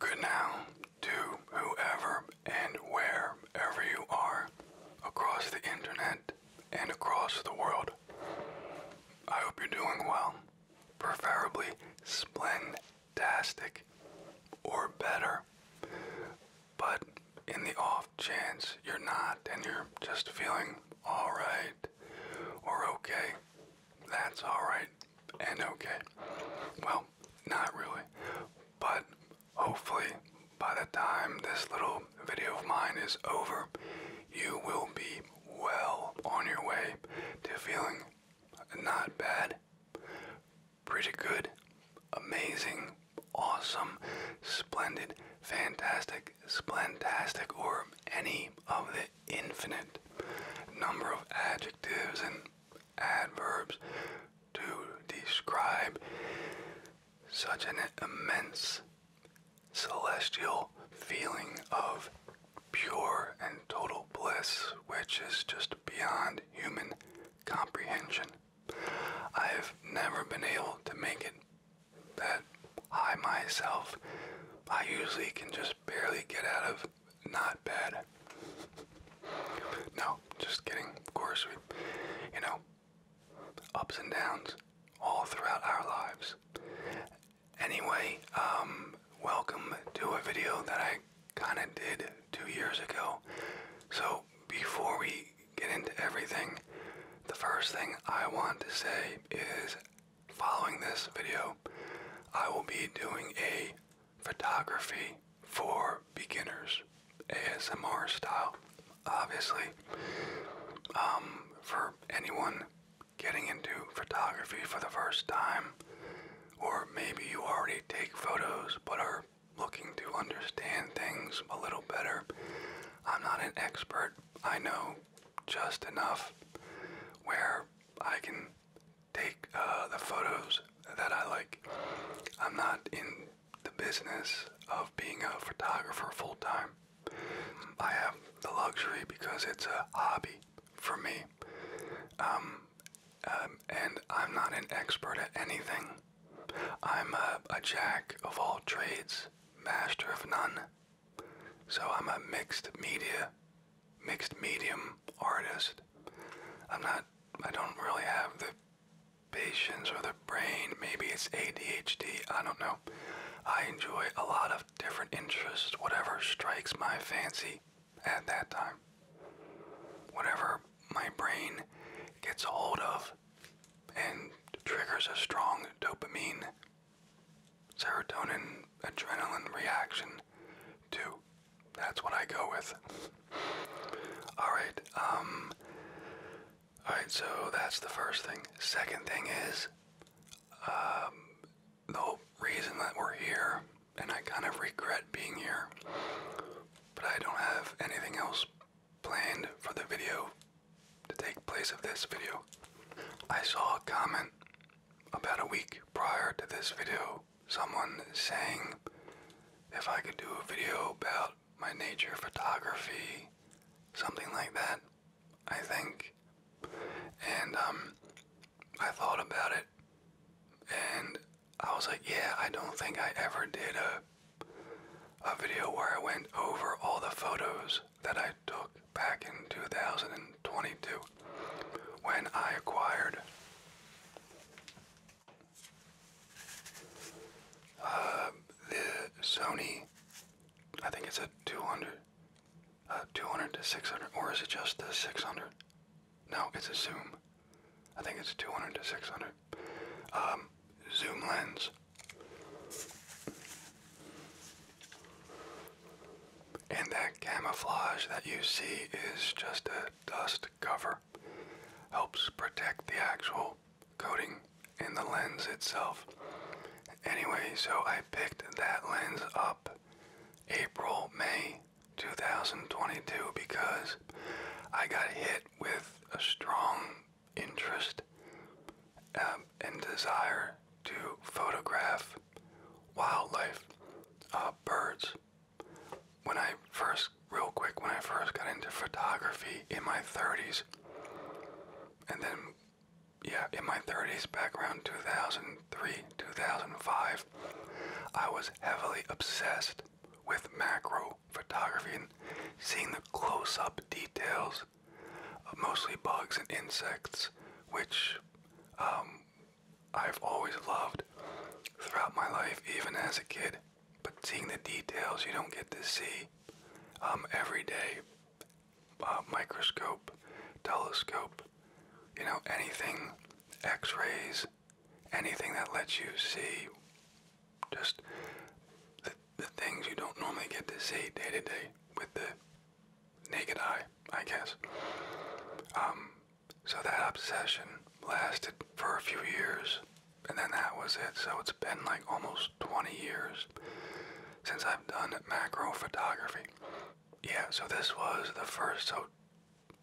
Good now to whoever and wherever you are across the internet and across the world. I hope you're doing well, preferably splendastic or better. But in the off chance you're not and you're just feeling alright or okay, that's alright and okay. Well, not really, but hopefully by the time this little video of mine is over, you will be well on your way to feeling not bad, pretty good, amazing, awesome, splendid, fantastic, splentastic, or any of the infinite number of adjectives and adverbs to describe such an immense celestial feeling of pure and total bliss, which is just beyond human comprehension. I've never been able to make it that high myself. I usually can just barely get out of not bad. No, just kidding. Of course, we, you know, ups and downs all throughout our lives. Anyway, um, welcome to a video that I kind of did two years ago. So, before we get into everything, the first thing I want to say is Following this video, I will be doing a photography for beginners ASMR style. Obviously, um, for anyone getting into photography for the first time, or maybe you already take photos but are looking to understand things a little better. I'm not an expert. I know just enough where I can take uh, the photos that I like. I'm not in the business of being a photographer full time. I have the luxury because it's a hobby for me. Um, um, and I'm not an expert at anything. I'm a jack of all trades, master of none. So I'm a mixed media mixed medium artist. I'm not, I don't really have the patience or the brain. Maybe it's ADHD, I don't know. I enjoy a lot of different interests, whatever strikes my fancy at that time. Whatever my brain gets a hold of and triggers a strong dopamine, serotonin, adrenaline reaction to that's what I go with. Alright, um, Alright, so that's the first thing. Second thing is, um, the reason that we're here, and I kind of regret being here, but I don't have anything else planned for the video to take place of this video. I saw a comment about a week prior to this video someone saying if I could do a video about my nature photography, something like that, I think. And um, I thought about it, and I was like, yeah, I don't think I ever did a a video where I went over all the photos that I took back in 2022 when I acquired uh, the Sony. I think it's a 200, uh, to 600, or is it just the 600? No, it's a zoom. I think it's 200 to 600. Um, zoom lens. And that camouflage that you see is just a dust cover. Helps protect the actual coating in the lens itself. Anyway, so I picked that lens up April, May 2022 because I got hit with a strong interest um, and desire to photograph wildlife, uh, birds, when I first, real quick, when I first got into photography in my 30s, and then, yeah, in my 30s, back around 2003, 2005, I was heavily obsessed with macro photography and seeing the close up details of mostly bugs and insects, which um, I've always loved throughout my life, even as a kid. But seeing the details you don't get to see um, every day uh, microscope, telescope, you know, anything, x rays, anything that lets you see just the, the things you don't normally get to see day to day with the naked eye, I guess. Um, so that obsession lasted for a few years, and then that was it. So it's been like almost 20 years since I've done macro photography. Yeah, so this was the first, so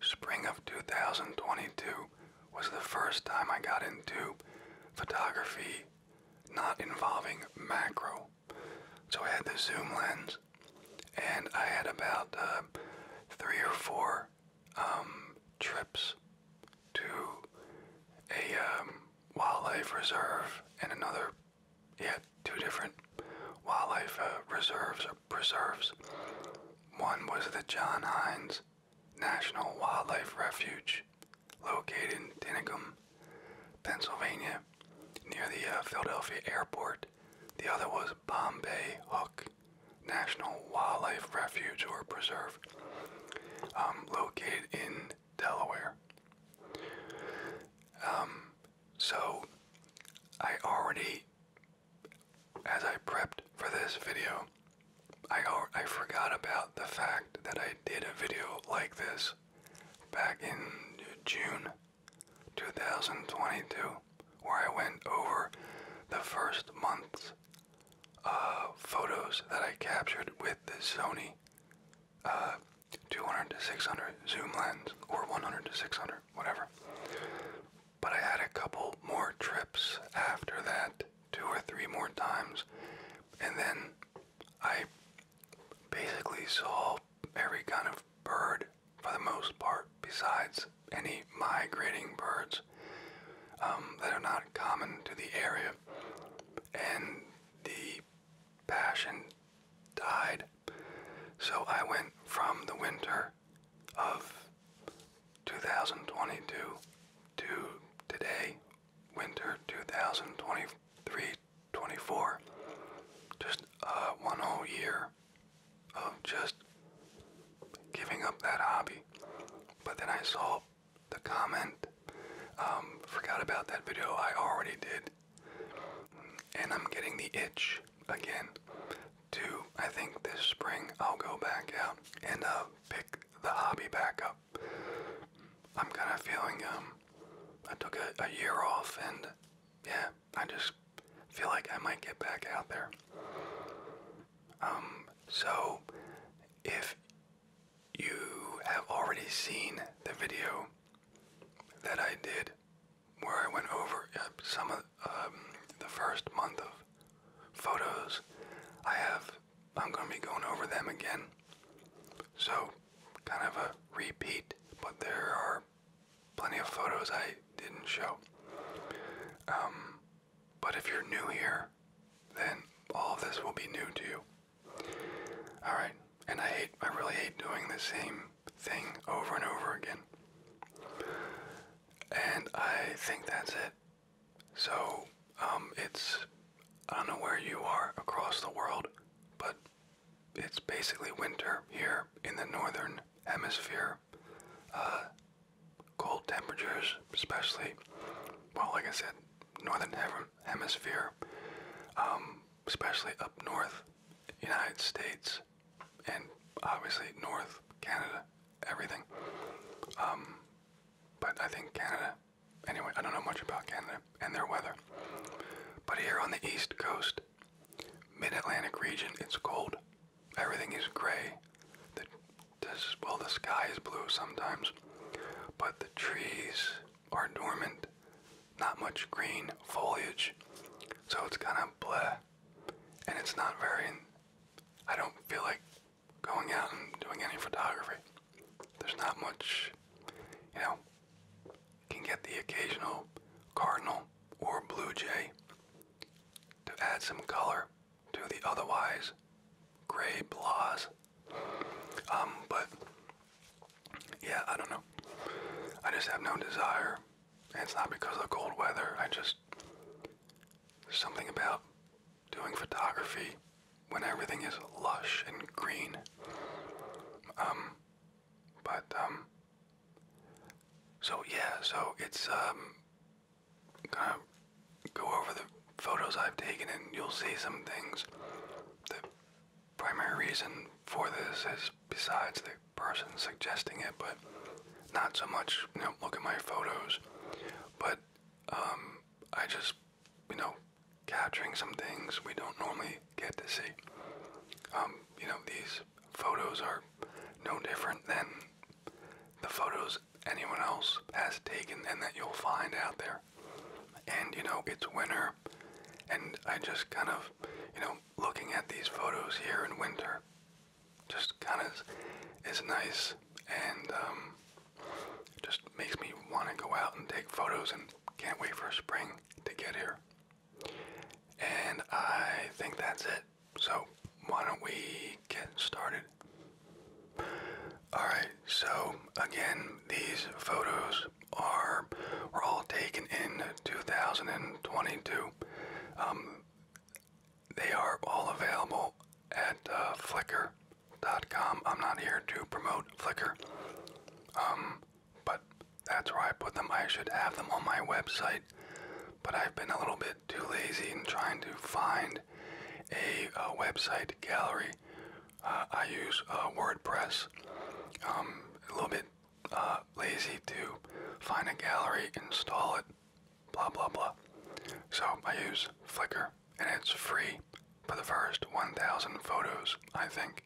spring of 2022 was the first time I got into photography not involving macro. So I had the zoom lens and I had about um, three or four um, trips to a um, wildlife reserve and another, yeah, two different wildlife uh, reserves or preserves. One was the John Hines National Wildlife Refuge, located in Tinicum, Pennsylvania, near the uh, Philadelphia airport. The other was Bombay Hook National Wildlife Refuge or Preserve, um, located in Delaware. Um, so, I already, as I prepped for this video, I, I forgot about the fact that I did a video like this back in June 2022, where I went over the first month's uh, photos that I captured with the Sony uh, 200 to 600 zoom lens, or 100 to 600, whatever. But I had a couple more trips after that, two or three more times, and then I basically saw every kind of bird for the most part, besides any migrating birds um, that are not common to the area. And the passion died. So I went from the winter of 2022 to today, winter 2023 24. Just uh, one whole year of just giving up that hobby. But then I saw the comment, um, forgot about that video I already did, and I'm getting the itch again. To I think this spring I'll go back out and uh, pick the hobby back up. I'm kind of feeling um, I took a year off and yeah, I just feel like I might get back out there. Um, so, if you have already seen the video that I did where I went over uh, some of um, the first month of photos, I have, I'm going to be going over them again. So, kind of a repeat, but there are plenty of photos I didn't show. Um, but if you're new here, then all this will be new to you. Alright, and I hate, I really hate doing the same thing over and over again. And I think that's it. So, um, it's, I don't know where you are across the world, but it's basically winter here in the northern hemisphere uh, cold temperatures, especially, well, like I said, northern hemisphere, um, especially up north, United States, and obviously north Canada, everything. Um, but I think Canada, anyway, I don't know much about Canada and their weather. But here on the east coast, mid Atlantic region, it's cold. Everything is gray. The, well, the sky is blue sometimes, but the trees are dormant. Not much green foliage, so it's kind of blah. And it's not very. I don't feel like going out and doing any photography. There's not much, you know. You can get the occasional cardinal or blue jay, to add some color to the otherwise gray blahs. Um, but yeah, I don't know. I just have no desire. it's not because of the cold weather. I just something about doing photography when everything is lush and green. Um, but um, so yeah, so it's um kind of go over the photos I've taken and you'll see some things. The primary reason for this is besides the person suggesting it, but not so much, you know, look at my photos, but um I just, you know, capturing some things we don't normally get to see. Um, you know, these photos are no different than the photos anyone else has taken and that you'll find out there. And you know, it's winter, and I just kind of, you know, looking at these photos here in winter just kind of is nice and um, just makes me want to go out and take photos and can't wait for spring to get here. And I think that's it. So, why don't we get started? Alright, so again, these photos are were all taken in 2022. Um, they are all available at uh, Flickr.com. I'm not here to promote Flickr, um, but that's where I put them. I should have them on my website, but I've been a little bit too lazy and trying to find a, uh, website gallery. Uh, I use uh, WordPress. Um, a little bit uh, lazy to find a gallery, install it, blah blah blah. So I use Flickr, and it's free for the first 1,000 photos. I think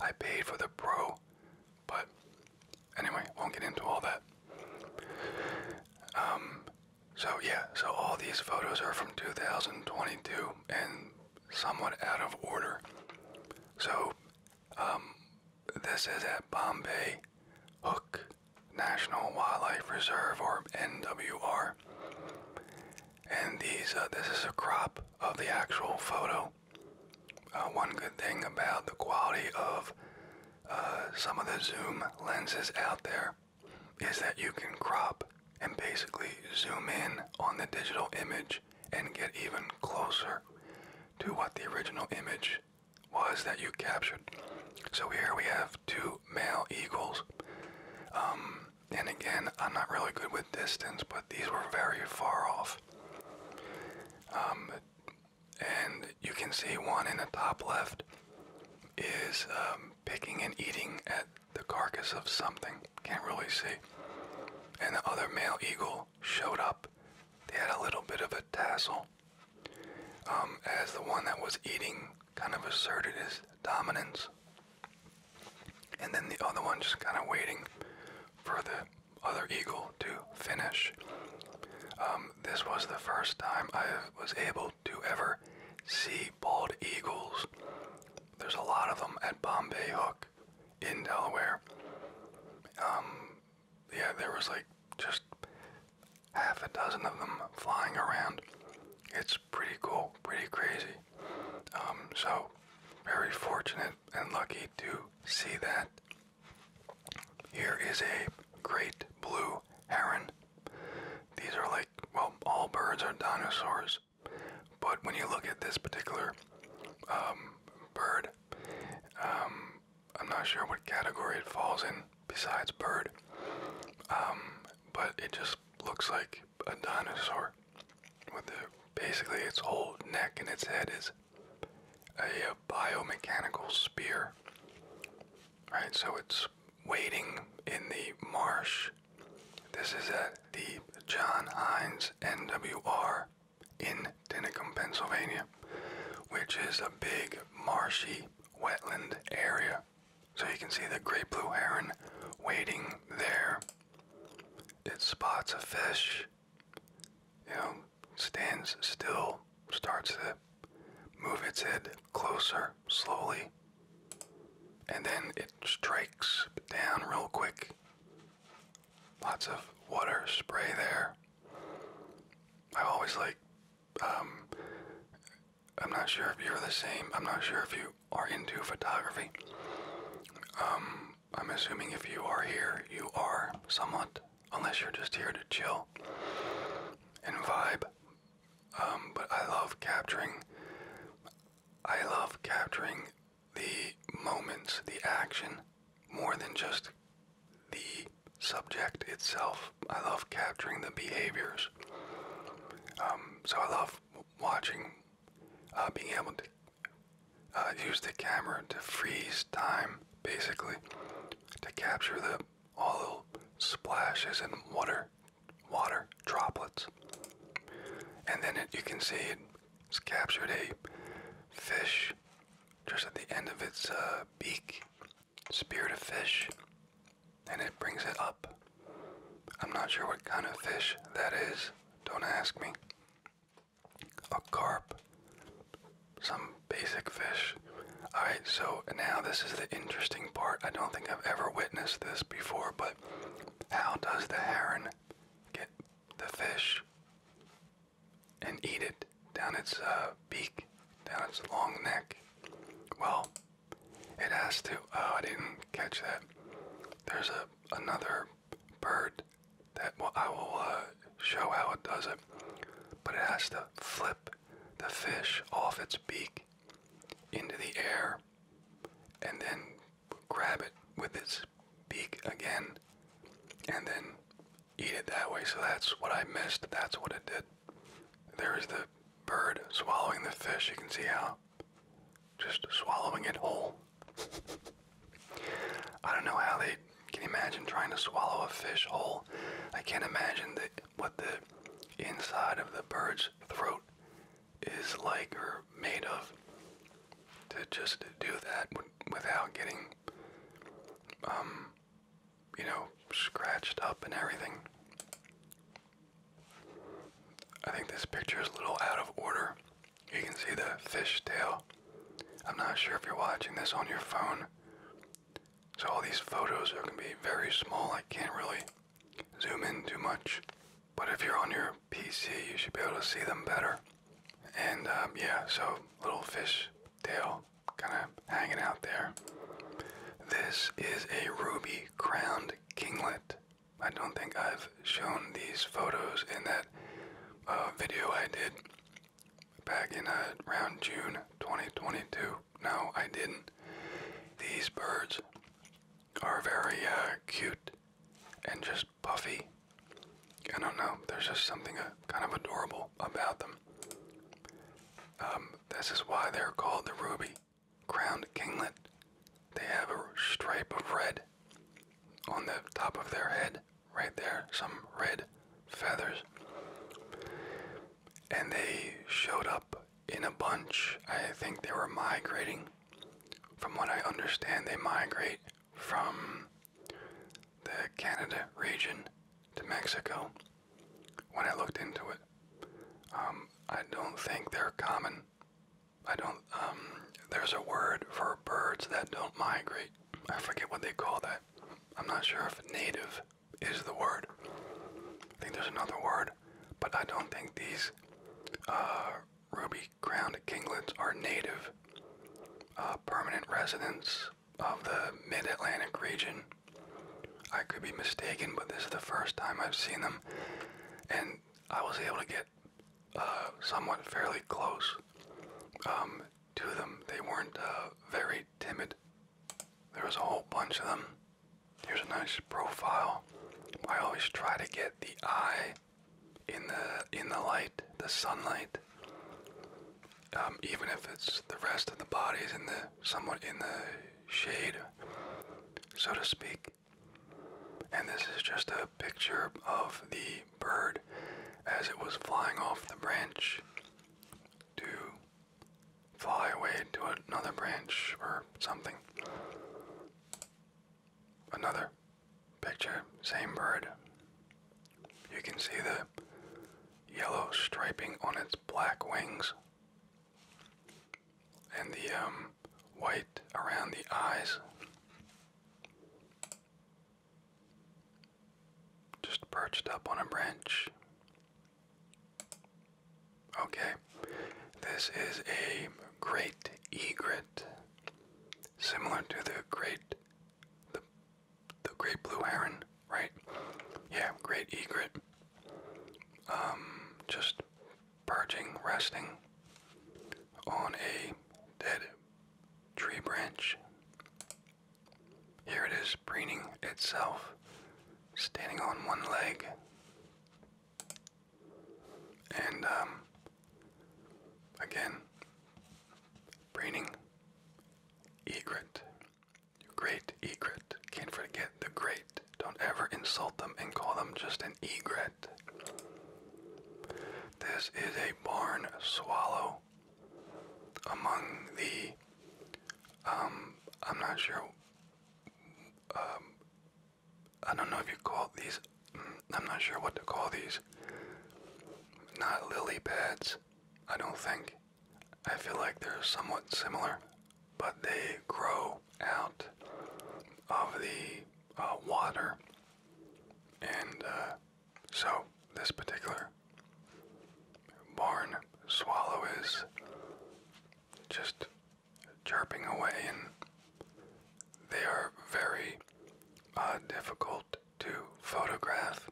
I paid for the Pro, but anyway, won't get into all that. Um, so yeah, so all these photos are from 2022 and somewhat out of order. So um, this is at Bombay Hook National Wildlife Reserve or NWR. And these, uh, this is a crop of the actual photo. Uh, one good thing about the quality of uh, some of the zoom lenses out there is that you can crop and basically zoom in on the digital image and get even closer to what the original image was that you captured. So here we have two male eagles. Um, and again, I'm not really good with distance, but these were very far off. Um, and you can see one in the top left is um, picking and eating at the carcass of something. Can't really see. And the other male eagle showed up. They had a little bit of a tassel. Um, as the one that was eating kind of asserted his dominance. And then the other one just kind of waiting for the other eagle to finish. Um, this was the first time I was able to ever see bald eagles. There's a lot of them at Bombay Hook in Delaware. Um, yeah, there was like just half a dozen of them flying around. It's pretty cool, pretty crazy. Um, so, very fortunate and lucky to see that. Here is a great blue heron. These are like, well, all birds are dinosaurs. But when you look at this particular um, bird, um, I'm not sure what category it falls in besides bird. Um, but it just looks like a dinosaur. With basically its whole neck and its head is a biomechanical spear. Right, so it's waiting in the marsh. This is at the John Hines NWR in Tinicum, Pennsylvania, which is a big marshy wetland area. So you can see the great blue heron waiting there. It spots a fish. You know, stands still, starts to move its head closer slowly, and then it strikes down real quick. Lots of water spray there. I always like, um, I'm not sure if you're the same, I'm not sure if you are into photography. Um, I'm assuming if you are here, you are somewhat unless you're just here to chill and vibe. Um, but I love capturing. I love capturing the moments, the action, more than just the subject itself. I love capturing the behaviors. Um, so I love watching, uh, being able to uh, use the camera to freeze time, basically, to capture the all little splashes and water, water droplets. And then you can see it's captured a fish just at the end of its uh, beak, speared a fish, and it brings it up. I'm not sure what kind of fish that is. Don't ask me. A carp, some basic fish. Alright, so now this is the interesting part. I don't think I've ever witnessed this before, but how does the heron get the fish and eat it down its uh, beak, down its long neck? Well, it has to. Oh, I didn't catch that. There's a another bird that well, I will uh, show how it does it, but it has to flip the fish off its beak into the air and then grab it with its beak again and then eat it that way. So that's what I missed. That's what it did. There is the bird swallowing the fish. You can see how just swallowing it whole. I don't know how they can imagine trying to swallow a fish whole. I can't imagine that what the inside of the bird's throat is like or made of to just do that without getting um you know scratched up and everything i think this picture is a little out of order you can see the fish tail i'm not sure if you're watching this on your phone so all these photos are going to be very small. I can't really zoom in too much. But if you're on your PC, you should be able to see them better. And um, yeah, so little fish tail kind of hanging out there. This is a ruby crowned kinglet. I don't think I've shown these photos in that uh, video I did back in uh, around June 2022. No, I didn't. These birds are very uh, cute and just puffy. I don't know. There's just something uh, kind of adorable about them. Um, this is why they're called the ruby crowned kinglet. They have a stripe of red on the top of their head, right there. Some red feathers. And they showed up in a bunch. I think they were migrating. From what I understand, they migrate from the Canada region to Mexico. When I looked into it, um, I don't think they're common. I don't, um, there's a word for birds that don't migrate. I forget what they call that. I'm not sure if native is the word. I think there's another word, but I don't think these uh, ruby crowned kinglets are native uh, permanent residents of the mid Atlantic region. I could be mistaken, but this is the first time I've seen them, and I was able to get uh, somewhat fairly close um, to them. They weren't very timid there was a whole bunch of them. Here's a nice profile. I always try to get the eye in the in the light, the sunlight. Um, even if it's the rest of the body is in the somewhat in the shade, so to speak. And this is just a picture of the bird as it was flying off the branch to fly away to another branch or something. Another picture, same bird. You can see the yellow striping on its black wings and the um, white around the eyes. Just perched up on a branch, Okay, this is a great egret, similar to the great, the, the great blue heron, right? Yeah, great egret. Um, just perching, resting on a dead tree branch. Here it is preening itself, standing on one leg. And, um, again, preening egret. Great egret. Can't forget the great. Don't ever insult them and call them just an egret. This is a barn swallow among the um, I'm not sure. Um, I don't know if you call these. Mm, I'm not sure what to call these. Not lily pads, I don't think. I feel like they're somewhat similar, but they grow out of the uh, water. And uh, so, this particular barn swallow is just chirping away, and they are very uh, difficult to photograph.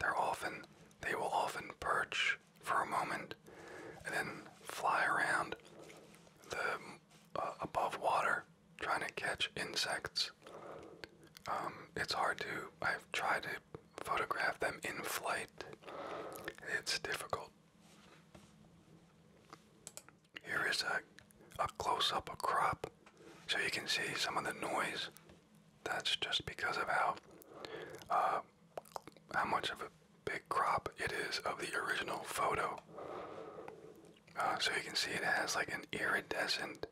They're often they will often perch for a moment and then fly around the uh, above water trying to catch insects. Um, it's hard to. I've tried to photograph them in flight, it's difficult. Here is a, a close up, a crop, so you can see some of the noise. That's just because of how, uh, how much of a big crop it is of the original photo. Uh, so you can see it has like an iridescent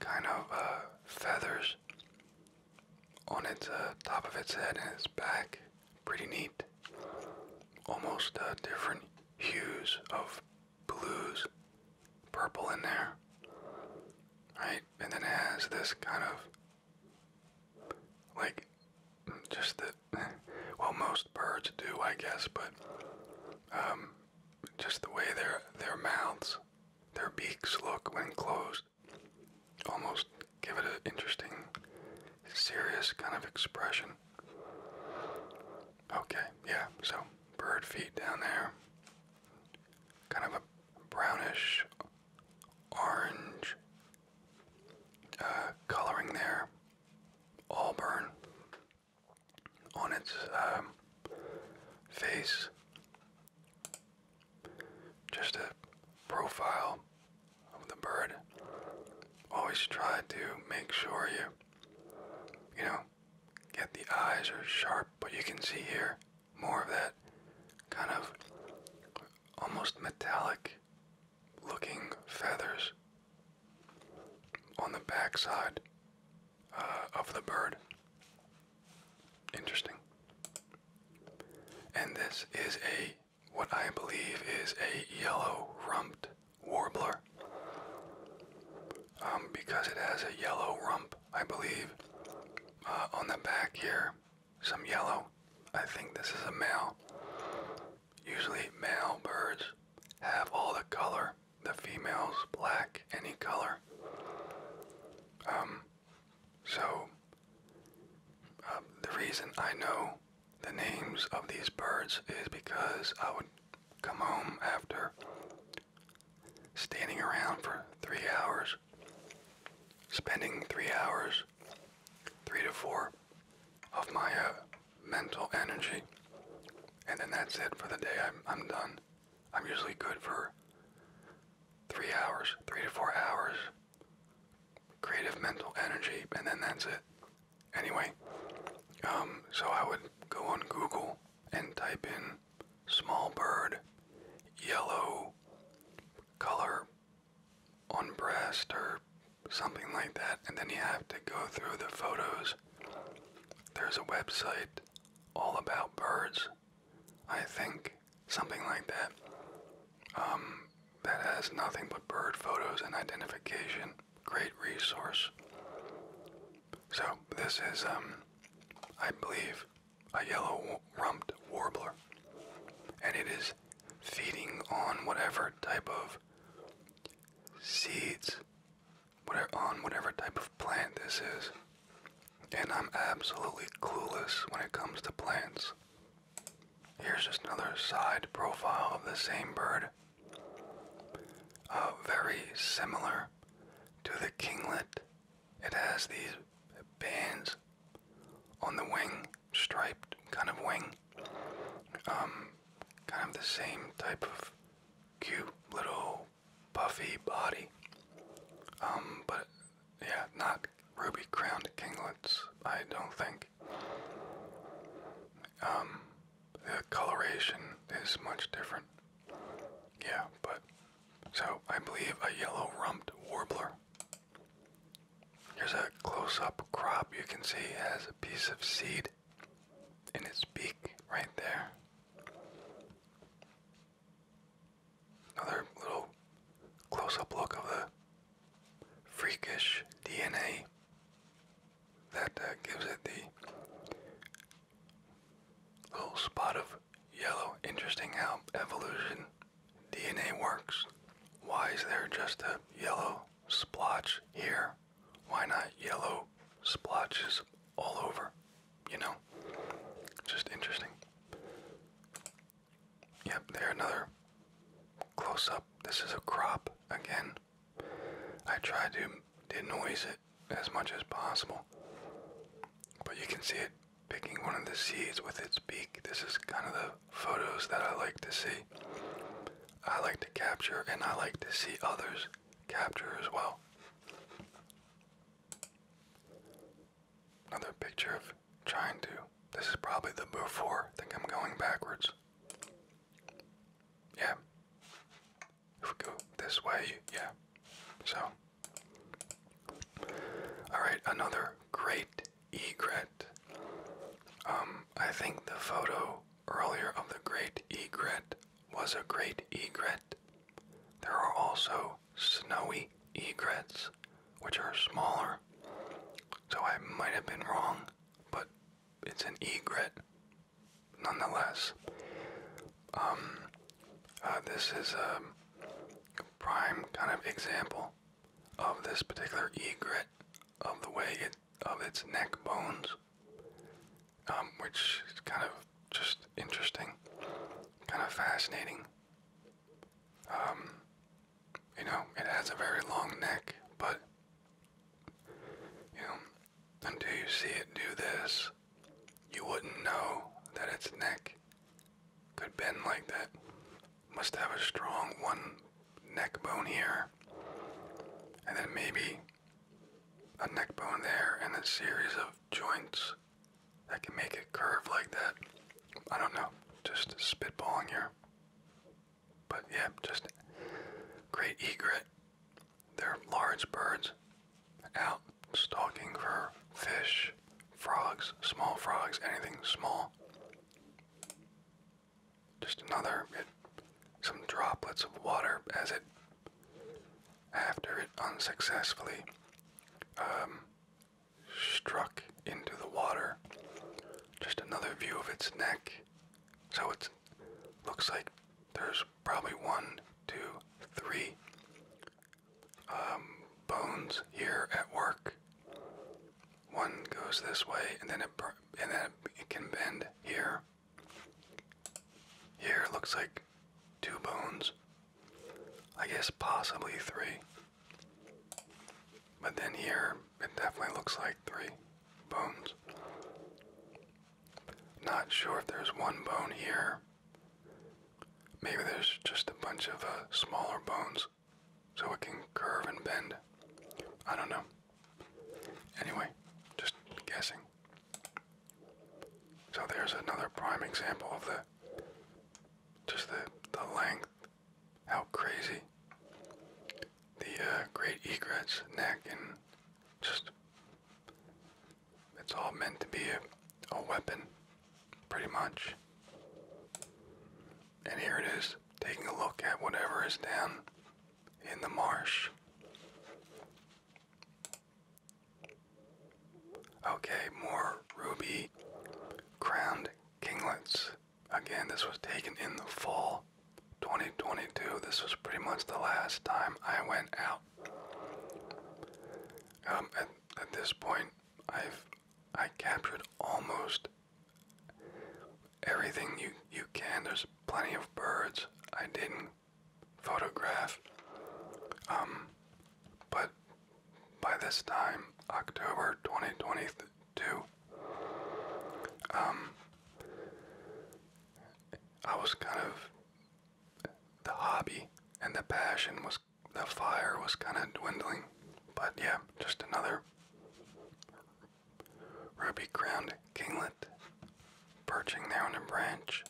kind of uh, feathers on its uh, top of its head and its back. Pretty neat. Almost uh, different hues of blues, purple in there. Right? And then it has this kind of like just the well most birds do I guess, but um, just the way their their mouths, their beaks look when closed almost give it an interesting, serious kind of expression. Okay, yeah, so bird feet down there. Kind of a brownish orange uh, coloring there. Auburn on its um, face just a profile of the bird. Always try to make sure you, you know, get the eyes are sharp, but you can see here more of that kind of almost metallic looking feathers on the backside uh, of the bird. Interesting. And this is a what I believe is a yellow rumped warbler. Um, because it has a yellow rump, I believe. Uh, on the back here, some yellow. I think this is a male. Usually male birds have all the color. The females black, any color. Um, so um, the reason I know the names of these birds is because I would come home after standing around for three hours, spending three hours, three to four of my uh, mental energy, and then that's it for the day. I'm, I'm done. I'm usually good for three hours, three to four hours creative mental energy, and then that's it. Anyway, um, so I would go on Google and type in small bird, yellow color on breast, or something like that, and then you have to go through the photos. There's a website all about birds I think, something like that. Um, that has nothing but bird photos and identification. Great resource. So this is, um, I believe, a yellow-rumped warbler, and it is feeding on whatever type of seeds, on whatever type of plant this is. And I'm absolutely clueless when it comes to plants. Here's just another side profile of the same bird. Uh, very similar to the kinglet. It has these bands on the wing, striped kind of wing. Um, kind of the same type of cute little puffy body. Um, but yeah, not ruby crowned kinglets, I don't think. Um, the coloration is much different. Yeah, but so I believe a yellow rumped warbler. Here's a close up crop you can see it has a piece of seed in its beak right there. Another little close up look of the freakish DNA that uh, gives it the little spot of yellow. Interesting how evolution DNA works. Why is there just a yellow splotch here? Why not yellow splotches all over? You know? Just interesting. Yep, there another close up. This is a crop again. I tried to denoise it as much as possible. But you can see it picking one of the seeds with its beak. This is kind of the photos that I like to see. I like to capture and I like to see others capture as well. Another picture of trying to. This is probably the before. I think I'm going backwards. Yeah. If we go this way, yeah. So. Alright, another great egret. Um, I think the photo earlier of the great egret was a great egret. There are also snowy egrets, which are smaller. So I might have been wrong, but it's an egret nonetheless. Um, uh, this is a prime kind of example of this particular egret of the way it of its neck bones, um, which is kind of just interesting, kind of fascinating. Um, you know, it has a very long neck, but you know, until you see it do this, you wouldn't know that its neck could bend like that. Must have a strong one neck bone here, and then maybe a neck bone there, and a series of joints that can make it curve like that. I don't know, just spitballing here. But yeah, just great egret. They're large birds out stalking for fish, frogs, small frogs, anything small. Just another, it, some droplets of water as it, after it unsuccessfully um, struck into the water. Just another view of its neck. So it looks like there's probably one, two, three um, bones here at work. One goes this way, and then it and then it can bend here. Here looks like two bones. I guess possibly three. But then here, it definitely looks like three bones. Not sure if there's one bone here. Maybe there's just a bunch of uh, smaller bones so it can curve and bend. I don't know. Anyway, just guessing. So there's another prime example of the just the, the length how crazy. The uh, great egret's neck and just. It's all meant to be a weapon, pretty much. And here it is, taking a look at whatever is down in the marsh. Okay, more ruby crowned kinglets. Again, this was taken in the fall 2022. This was pretty much the last time I went out. Um, at, at this point, I've I captured almost everything you you can. There's plenty of birds I didn't photograph, um, but by this time, October 2022, um, I was kind of, the hobby and the passion was, the fire was kind of dwindling. But yeah, just another ruby crowned kinglet perching there on a branch.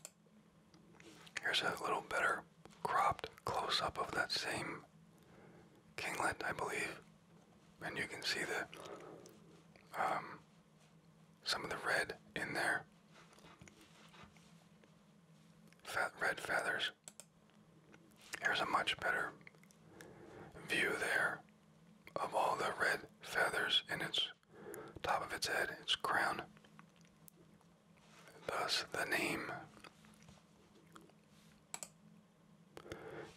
Here's a little better cropped close up of that same kinglet, I believe, and you can see the um, some of the red in there. Fat red feathers. Here's a much better view there of all the red feathers in its top of its head, its crown. Thus the name.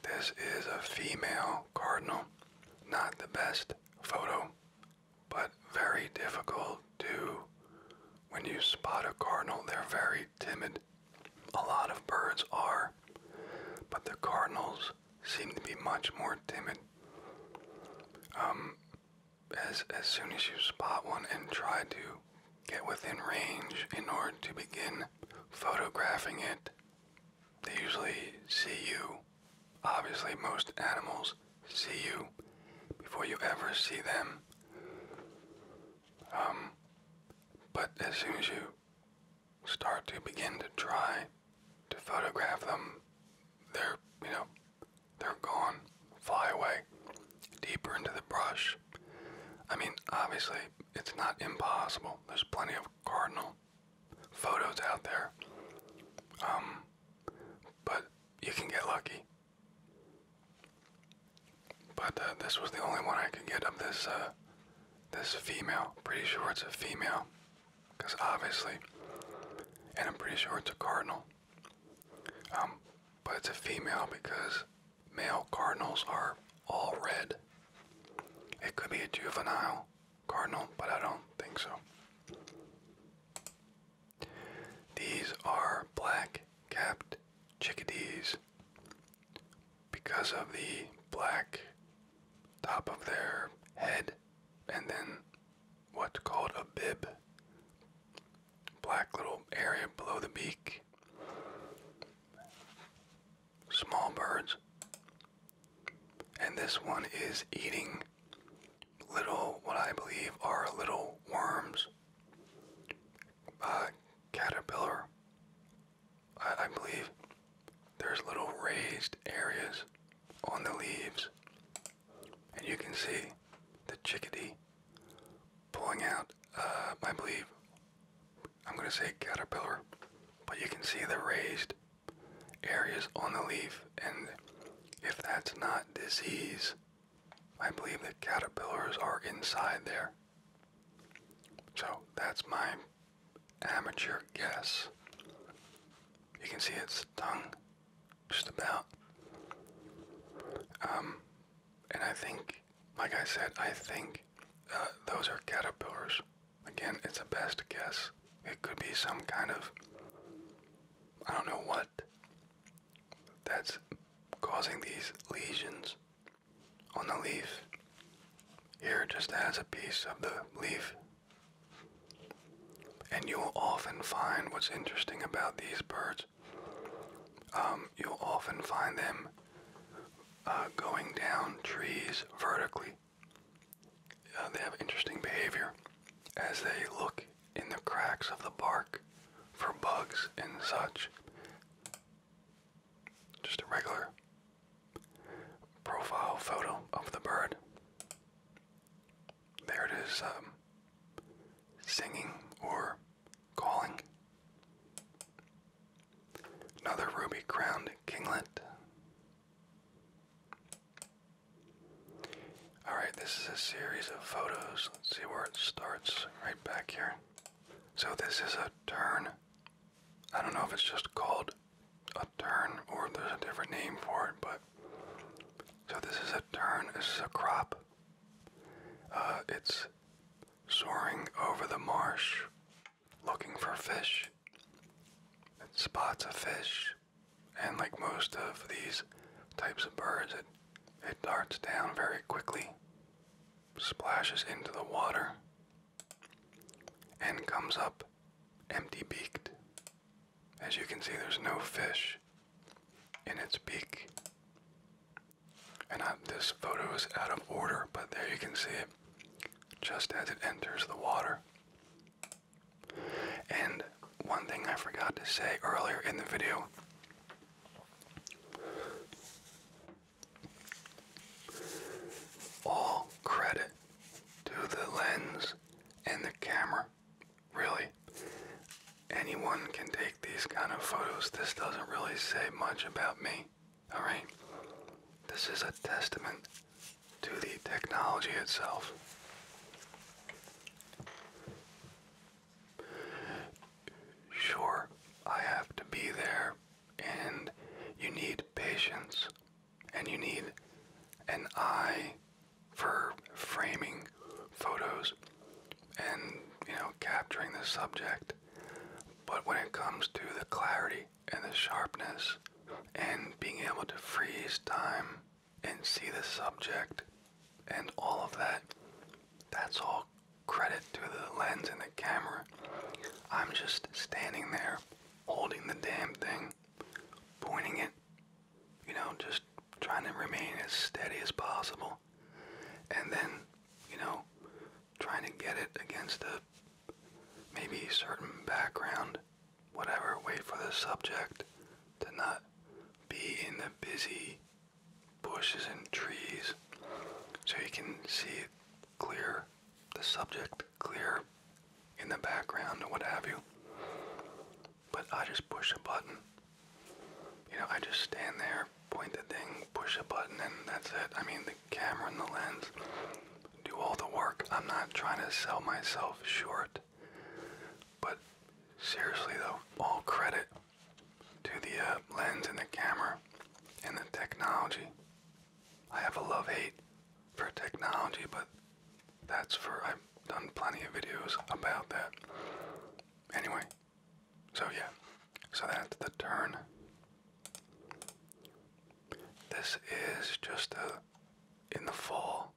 This is a female cardinal. Not the best photo, but very difficult too. When you spot a cardinal, they're very timid. A lot of birds are, but the cardinals seem to be much more timid. Um, as as soon as you spot one and try to get within range in order to begin photographing it. They usually see you. Obviously, most animals see you before you ever see them. Um, but as soon as you start to begin to try to photograph them, they're, you know, they're gone, fly away, deeper into the brush, I mean, obviously, it's not impossible. There's plenty of cardinal photos out there. Um, but you can get lucky. But uh, this was the only one I could get of this, uh, this female. Pretty sure it's a female, because obviously, and I'm pretty sure it's a cardinal. Um, but it's a female because male cardinals are all red. It could be a juvenile cardinal, but I don't think so. These are black capped chickadees because of the black top of their head and then what's called a bib. Black little area below the beak small birds. And this one is eating little, what I believe are little worms. Uh, caterpillar, I, I believe. There's little raised areas on the leaves. And you can see the chickadee pulling out, uh, I believe, I'm going to say caterpillar, but you can see the raised areas on the leaf, and if that's not disease, I believe the caterpillars are inside there. So that's my amateur guess. You can see its dung, just about. Um, and I think like I said, I think uh, those are caterpillars. Again, it's a best guess. It could be some kind of, I don't know what, that's causing these lesions on the leaf. Here it just has a piece of the leaf. And you'll often find what's interesting about these birds. Um, you'll often find them uh, going down trees vertically. Uh, they have interesting behavior as they look in the cracks of the bark for bugs and such. Just a regular profile photo of the bird. There it is, um, singing or Calling. Another ruby crowned kinglet. Alright, this is a series of photos. Let's see where it starts. Right back here. So, this is a turn. I don't know if it's just called a turn or there's a different name for it, but. So, this is a turn. This is a crop. Uh, it's soaring over the marsh, looking for fish. spots a fish, and like most of these types of birds, it, it darts down very quickly, splashes into the water, and comes up empty beaked. As you can see, there's no fish in its beak. And this photo is out of order, but there you can see it just as it enters the water. And one thing I forgot to say earlier in the video all credit to the lens and the camera. Really, anyone can take these kind of photos. This doesn't really say much about me. All right. This is a testament to the technology itself. Sure, I have to be there, and you need patience, and you need an eye for framing photos and, you know, capturing the subject. But when it comes to the clarity and the sharpness and being able to freeze time and see the subject and all of that, that's all credit to the lens and the camera. I'm just standing there holding the damn thing, pointing it, you know, just trying to remain as steady as possible. And then, you know, trying to get it against a maybe certain background, whatever, way for the subject to not be in the busy bushes and trees so you can see clear the subject clear in the background or what have you. But I just push a button. You know, I just stand there point the thing, push a button, and that's it. I mean, the camera and the lens do all the work. I'm not trying to sell myself short. But seriously, though, all credit to the uh, lens and the camera and the technology. I have a love hate for technology, but that's for, I've done plenty of videos about that. Anyway, so yeah, so that's the turn this is just a in the fall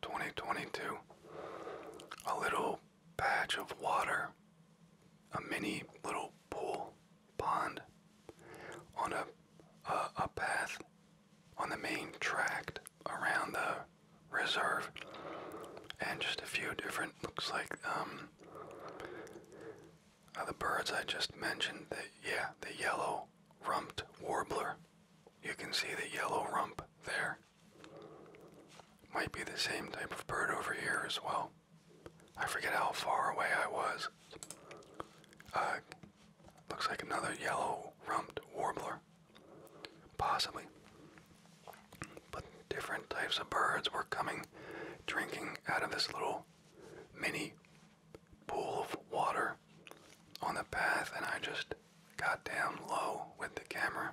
2022 a little patch of water, a mini little pool pond on a a, path on the main tract around the reserve and just a few different looks like um of the birds I just mentioned, the, yeah, the yellow rumped warbler. You can see the yellow rump there. Might be the same type of bird over here as well. I forget how far away I was. Uh, looks like another yellow rumped warbler. Possibly. But different types of birds were coming, drinking out of this little mini pool of water on the path, and I just got down low with the camera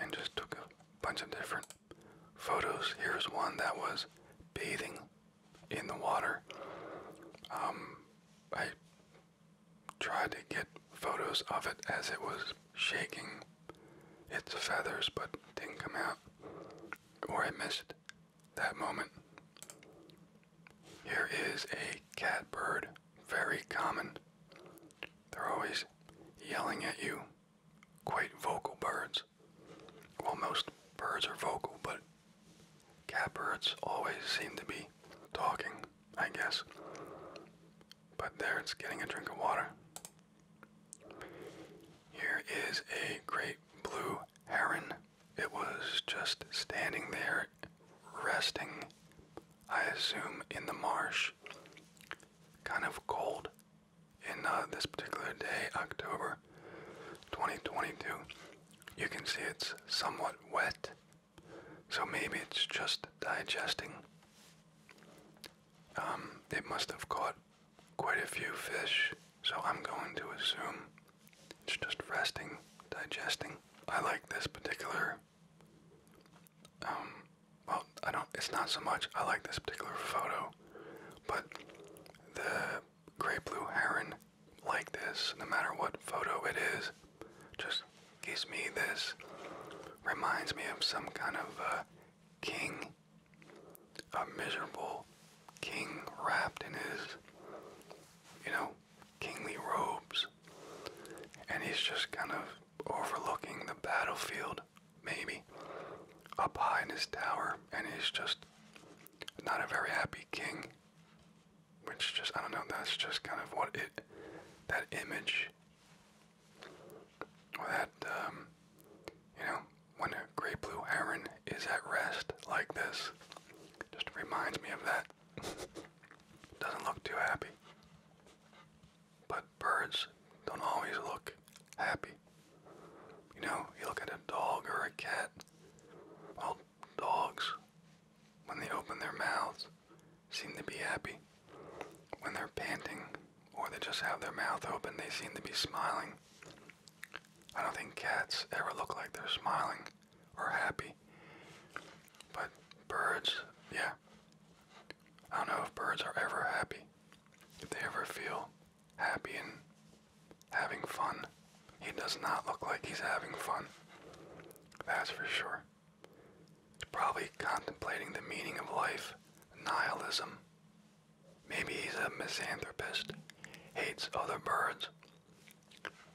and just took a bunch of different photos. Here's one that was bathing in the water. Um, I tried to get photos of it as it was shaking its feathers, but didn't come out or I missed that moment. Here is a catbird, very common. They're always yelling at you, quite vocal birds. Well, most birds are vocal, but catbirds always seem to be talking, I guess. But there, it's getting a drink of water. Here is a great blue heron. It was just standing there, resting, I assume, in the marsh. Kind of cold in uh, this particular day, October 2022. You can see it's somewhat wet, so maybe it's just digesting. it um, must have caught quite a few fish, so I'm going to assume it's just resting, digesting. I like this particular, um, well, I don't, it's not so much I like this particular photo, but the gray blue heron like this, no matter what photo it is, just gives me this, reminds me of some kind of a uh, king a miserable king wrapped in his, you know, kingly robes. And he's just kind of overlooking the battlefield, maybe, up high in his tower. And he's just not a very happy king. Which just, I don't know, that's just kind of what it, that image, that, um, you know, when a great blue heron is at rest like this. Just reminds me of that. Doesn't look too happy. But birds don't always look happy. You know, you look at a dog or a cat. Well, dogs, when they open their mouths, seem to be happy. When they're panting or they just have their mouth open, they seem to be smiling. I don't think cats ever look like they're smiling or happy. But birds, yeah. I don't know if birds are ever happy. If they ever feel happy and having fun. He does not look like he's having fun. That's for sure. probably contemplating the meaning of life, nihilism, Maybe he's a misanthropist, hates other birds.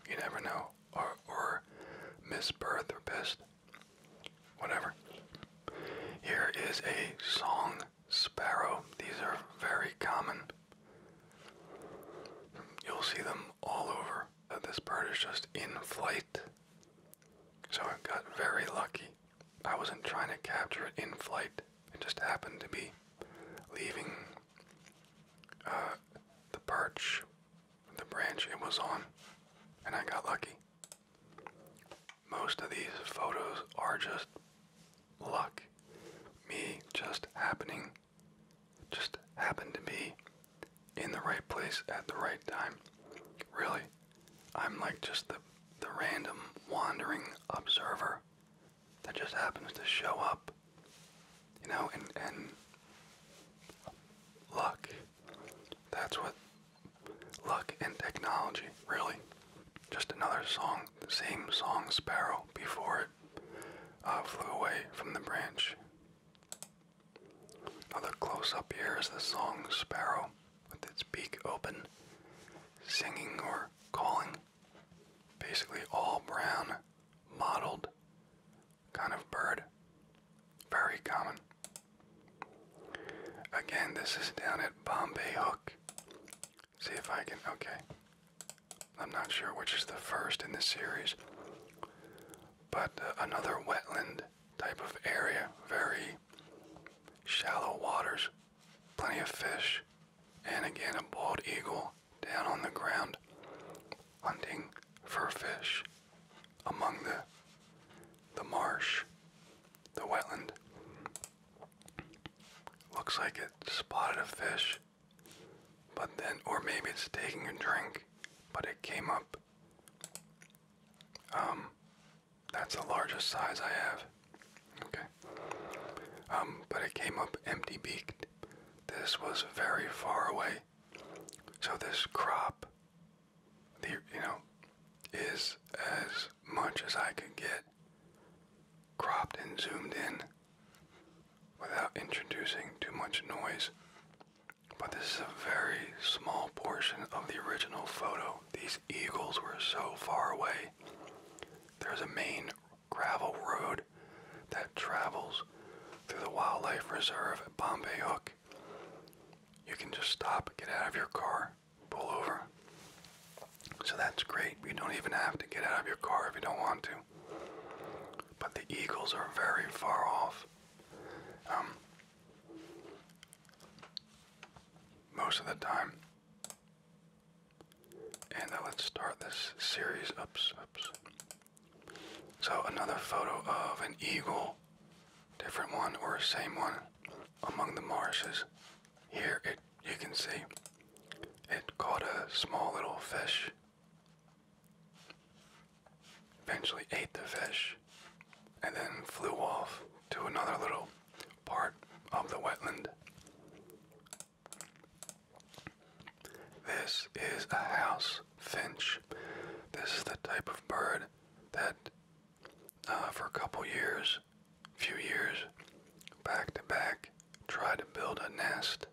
You never know. Or, or misbirthropist. Whatever. Here is a song sparrow. These are very common. You'll see them all over. Uh, this bird is just in flight. So I got very lucky. I wasn't trying to capture it in flight. It just happened to be leaving uh, the perch, the branch it was on, and I got lucky. Most of these photos are just luck. Me just happening, just happened to be in the right place at the right time. Really, I'm like just the, the random wandering observer that just happens to show up, you know, and and luck. That's what luck and technology really. Just another song, the same song Sparrow before it uh, flew away from the branch. Another close up here is the song Sparrow with its beak open, singing or calling basically all brown, mottled kind of bird. Very common. Again, this is down at Bombay Hook. See if I can. Okay. I'm not sure which is the first in this series, but uh, another wetland type of area, very shallow waters plenty of fish, and again a bald eagle down on the ground hunting for fish among the the marsh, the wetland. Looks like it spotted a fish, but then, or maybe it's taking a drink, but it came up. Um, that's the largest size I have. Okay. Um, but it came up empty beaked. This was very far away. So this crop, the, you know, is as much as I could get cropped and zoomed in without introducing too much noise. But this is a very small portion of the original photo. These eagles were so far away. There's a main gravel road that travels through the wildlife reserve at Bombay Hook. You can just stop, get out of your car, pull over. So that's great. You don't even have to get out of your car if you don't want to. But the eagles are very far off. Um, most of the time, and now let's start this series. Oops, oops. So another photo of an eagle, different one or same one, among the marshes. Here it you can see it caught a small little fish. Eventually ate the fish and then flew off to another little part of the wetland. This is a house finch. This is the type of bird that, uh, for a couple years, few years, back to back, tried to build a nest.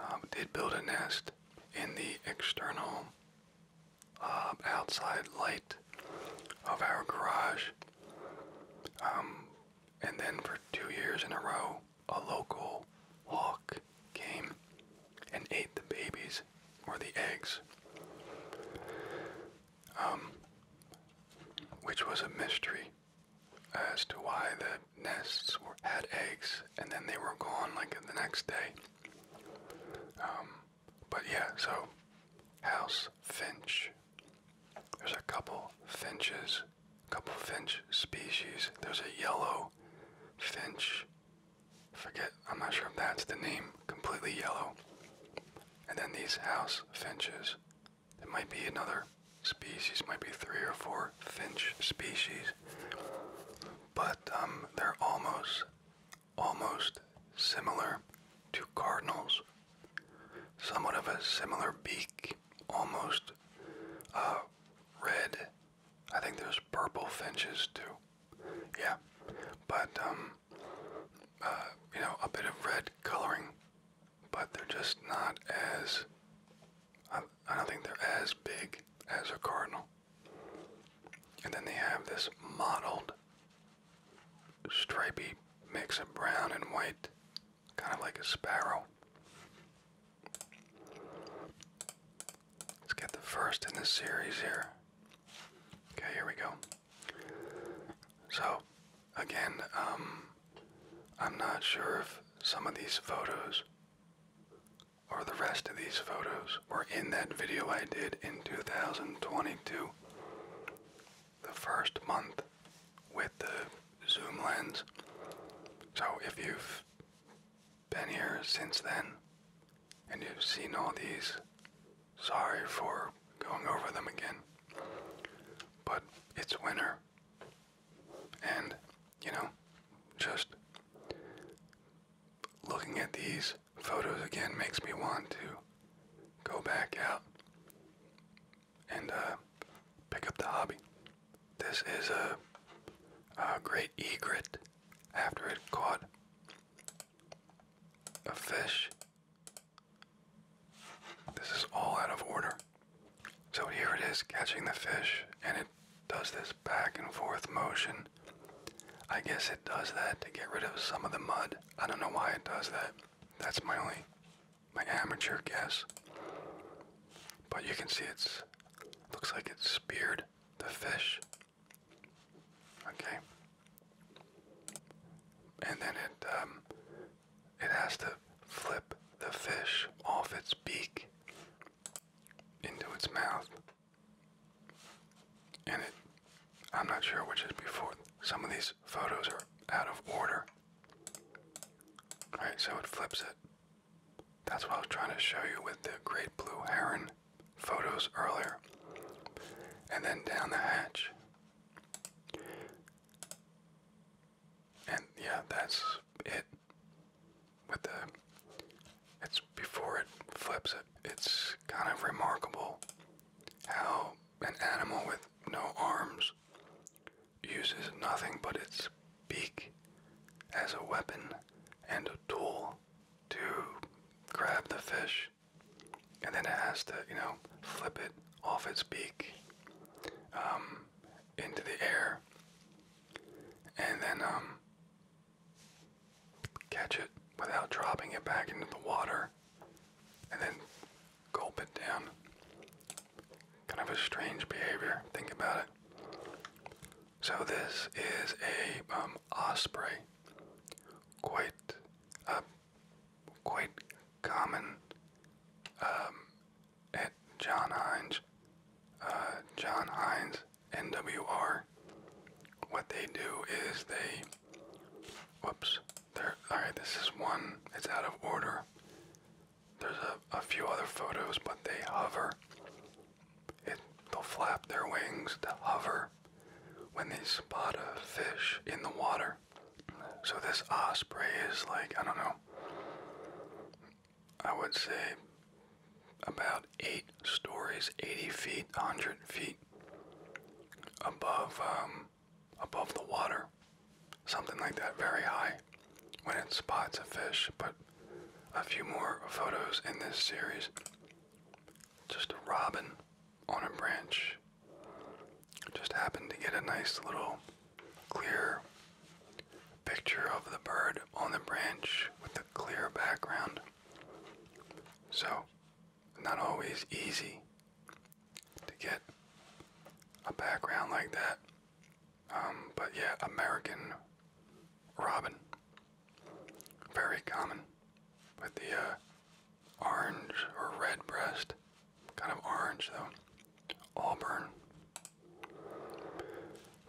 Um, did build a nest in the external um, outside light of our garage. Um, and then for two years in a row, a local hawk came and ate the babies or the eggs, um, which was a mystery as to why the nests were, had eggs and then they were gone like the next day. Um, but yeah, so house finch. There's a couple finches couple finch species. There's a yellow finch. Forget, I'm not sure if that's the name, completely yellow. And then these house finches. There might be another species, might be three or four finch species. But um, they're almost, almost similar to cardinals somewhat of a similar beak, almost uh, red. I think there's purple finches too. Yeah, but um, uh, you know, a bit of red coloring, but they're just not as. I, don't think they're as big as a cardinal. And then they have this mottled, stripey mix of brown and white kind of like a sparrow. Let's get the first in this series here. Okay, here we go. So, again, um, I'm not sure if some of these photos or the rest of these photos were in that video I did in 2022 the first month with the zoom lens. So if you've been here since then and you've seen all these, sorry for going over them again. But it's winter. And, you know, just looking at these photos again makes me want to go back out and uh, pick up the hobby. This is a great egret after it caught a fish. This is all out of order. So here it is catching the fish, and it does this back and forth motion. I guess it does that to get rid of some of the mud. I don't know why it does that. That's my only my amateur guess. But you can see it's looks like it speared the fish. Okay. And then it um, it has to flip the fish off its beak into its mouth. And it I'm not sure which is before. Some of these photos are out of order. Right, so it flips it. That's what I was trying to show you with the great blue heron photos earlier. And then down the hatch. And yeah, that's it. With the it's before it flips it. It's kind of remarkable how an animal with no arms uses nothing but its beak as a weapon and a tool to grab the fish, and then it has to, you know, flip it off its beak um, into the air, and then um, catch it without dropping it back into the water, and then gulp it down. Kind of a strange behavior. Think about it. So this is a um, osprey. Quite a uh, quite common um, at John Hines. Uh, John Hines NWR. What they do is they. Whoops. There. All right. This is one. It's out of order. There's a, a few other photos, but they hover. It, they'll flap their wings to hover when they spot a fish in the water. So this osprey is like, I don't know, I would say about eight stories, 80 feet, 100 feet above, um, above the water something like that very high when it spots a fish, but a few more photos in this series. Just a robin on a branch. Just happened to get a nice little clear picture of the bird on the branch with a clear background. So, not always easy to get a background like that um, but yeah, American robin. Very common. With the uh, orange or red breast. Kind of orange though. Auburn.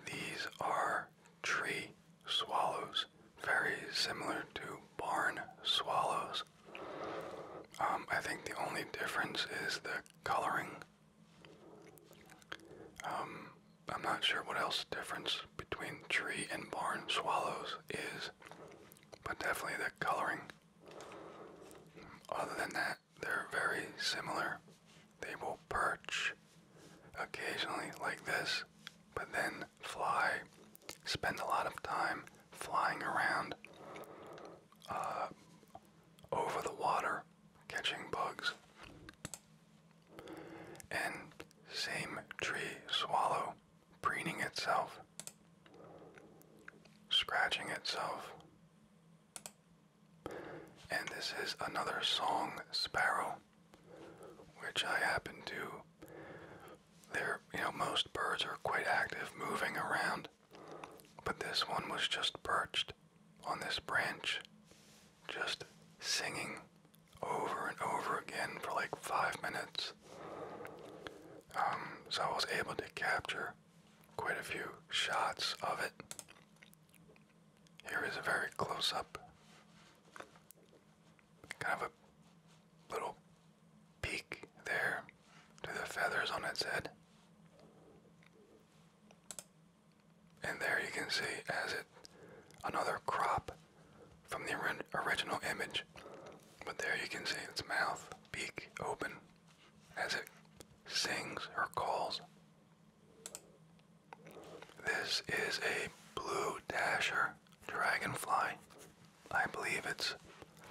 These are tree swallows. Very similar to barn swallows. Um, I think the only difference is the coloring um, I'm not sure what else the difference between tree and barn swallows is, but definitely the coloring. Other than that, they're very similar. They will perch occasionally like this, but then fly, spend a lot of time flying around, uh, over the water, catching bugs. And same tree swallow preening itself, scratching itself. And this is another song sparrow, which I happen to. There, you know, most birds are quite active moving around. But this one was just perched on this branch, just singing over and over again for like five minutes. Um, so I was able to capture quite a few shots of it. Here is a very close up, kind of a little peek there to the feathers on its head. And there you can see as it another crop from the original image. But there you can see its mouth, beak open as it sings or calls. This is a blue dasher dragonfly. I believe it's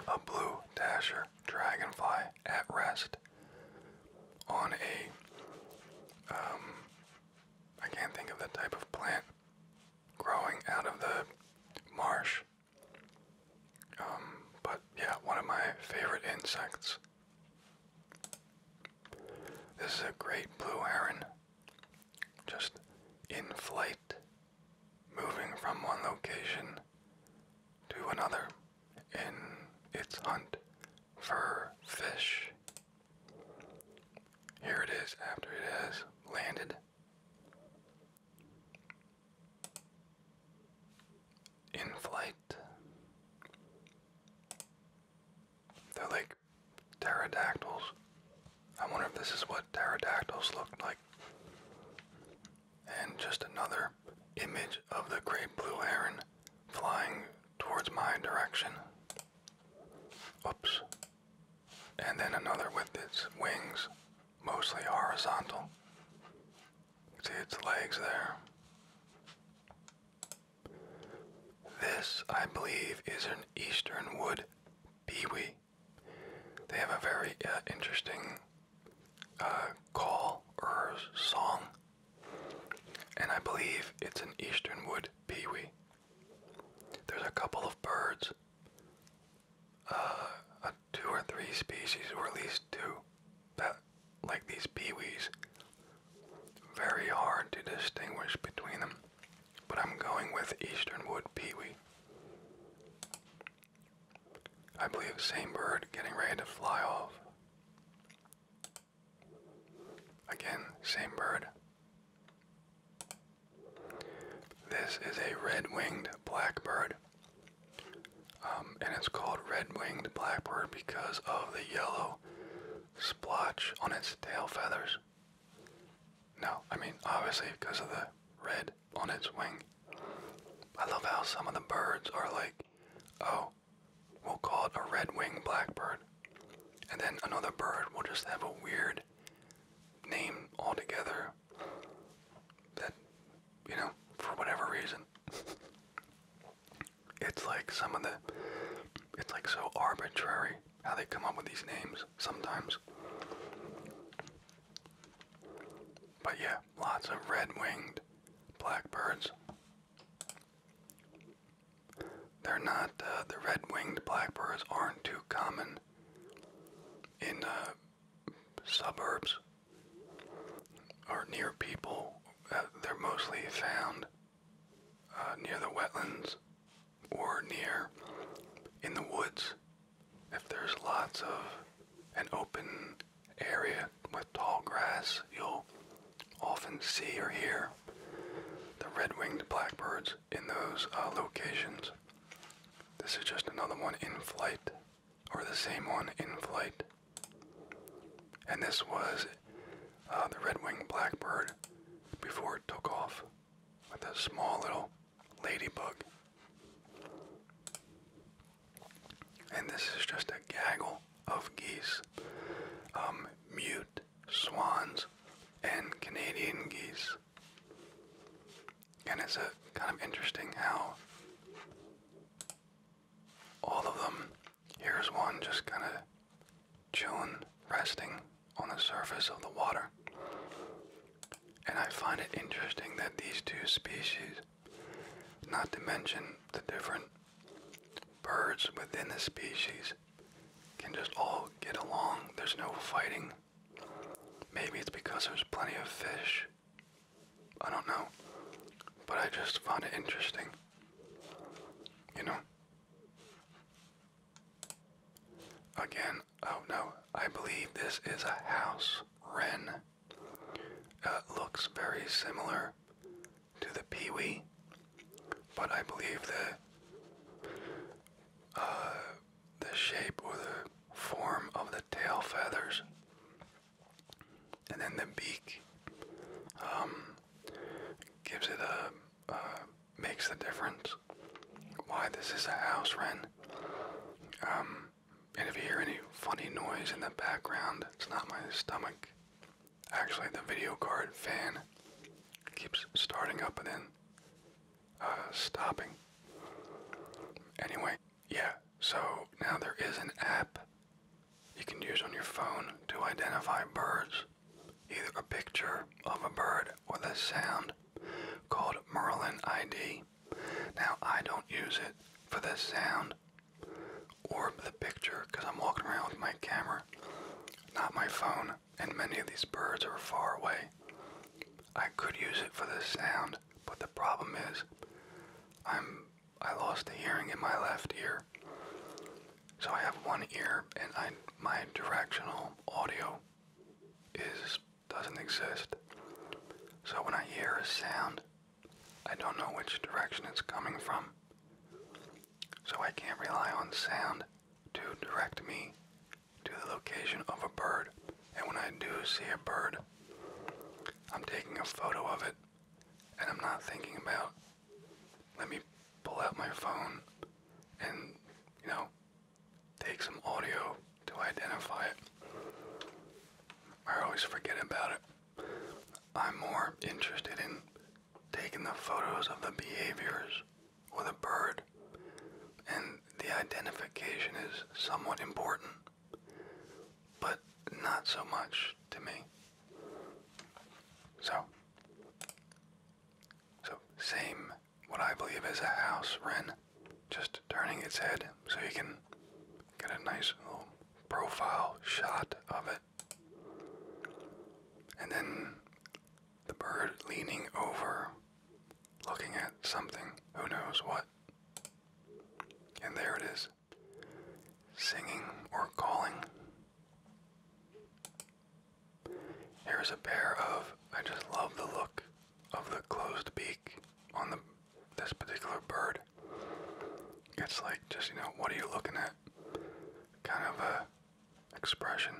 a blue dasher dragonfly at rest on a, um, can't think of the type of plant growing out of the marsh. Um, but yeah, one of my favorite insects. This is a great blue heron, just in flight, moving from one location to another in its hunt for fish. Here it is after it has landed. In flight. They're like pterodactyls. I wonder if this is what pterodactyls looked like and just another image of the great blue heron flying towards my direction. Oops. And then another with its wings mostly horizontal. See its legs there. This, I believe, is an eastern wood peewee. They have a very uh, interesting uh, call or song, and I believe it's an eastern wood pewee. There's a couple of birds, uh, two or three species, or at least two, that like these pewees. Very hard to distinguish between them, but I'm going with eastern wood pewee. I believe same bird getting ready to fly off. Again, same bird. This is a red-winged blackbird. Um, and it's called red-winged blackbird because of the yellow splotch on its tail feathers. No, I mean, obviously because of the red on its wing. I love how some of the birds are like, oh, we'll call it a red winged blackbird. And then another bird will just have a weird name altogether that, you know, for whatever reason. It's like some of the. It's like so arbitrary how they come up with these names sometimes. But yeah, lots of red winged blackbirds they're not, uh, the red winged blackbirds aren't too common in the uh, suburbs or near people. Uh, they're mostly found near the wetlands or near in the woods if there's lots of an open area with tall grass, you'll often see or hear the red-winged blackbirds in those uh, locations. This is just another one in flight, or the same one in flight. And this was uh, the red-winged blackbird before it took off with a small little ladybug. And this is just a gaggle of geese, um, mute swans, and Canadian geese. And it's a kind of interesting how all of them. Here's one just kind of chilling, resting on the surface of the water. And I find it interesting that these two species not to mention the different birds within the species can just all get along. There's no fighting. Maybe it's because there's plenty of fish. I don't know. But I just found it interesting. You know? Again, oh no, I believe this is a house wren. Uh, it looks very similar to the peewee, but I believe the uh, the shape or the form of the tail feathers and then the beak um, gives it a uh, makes the difference. Why this is a house wren. Um, and if you hear any funny noise in the background, it's not my stomach. Actually, the video card fan keeps starting up and then uh, stopping. Anyway, yeah, so now there is an app you can use on your phone to identify birds, either a picture of a bird or the sound, called Merlin ID. Now, I don't use it for the sound orb the picture because I'm walking around with my camera, not my phone, and many of these birds are far away. I could use it for the sound, but the problem is I'm I lost the hearing in my left ear. So I have one ear and I my directional audio is doesn't exist. So when I hear a sound, I don't know which direction it's coming from, so I can't rely on sound to direct me to the location of a bird. And when I do see a bird, I'm taking a photo of it and I'm not thinking about, let me pull out my phone and, you know, take some audio to identify it. I always forget about it. I'm more interested in taking the photos of the behaviors with a bird, and the identification is somewhat important, but not so much to me. So, so same what I believe is a house wren, just turning its head so you can get a nice little profile shot of it. And then the bird leaning over, looking at something, who knows what. And there it is, singing or calling. Here's a pair of, I just love the look of the closed beak on the, this particular bird. It's like just you know what are you looking at? Kind of a expression.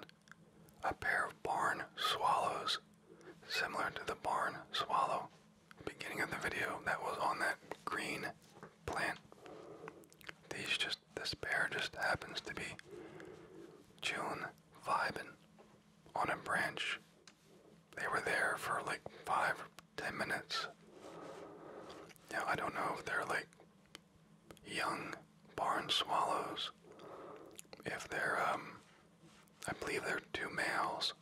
A pair of barn swallows, similar to the barn swallow. Beginning of the video that was on that green plant. These just this pair just happens to be June vibing on a branch. They were there for like five 10 minutes. Yeah, I don't know if they're like young barn swallows, if they're, um, I believe they're two males.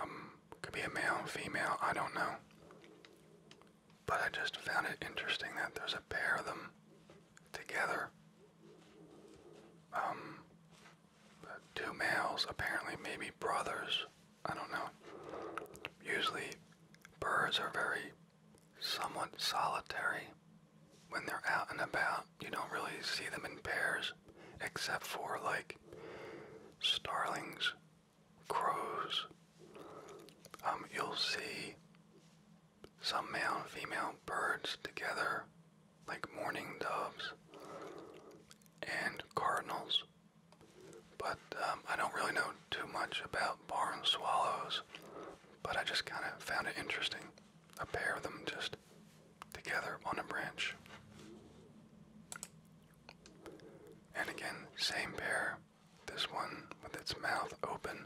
Um, could be a male and female, I don't know. But I just found it interesting that there's a pair of them together. Um, two males, apparently, maybe brothers. I don't know. Usually, birds are very somewhat solitary. When they're out and about, you don't really see them in pairs, except for like starlings, crows. Um, you'll see some male and female birds together, like mourning doves and cardinals. But um, I don't really know too much about barn swallows, but I just kind of found it interesting. A pair of them just together on a branch. And again, same pair, this one with its mouth open,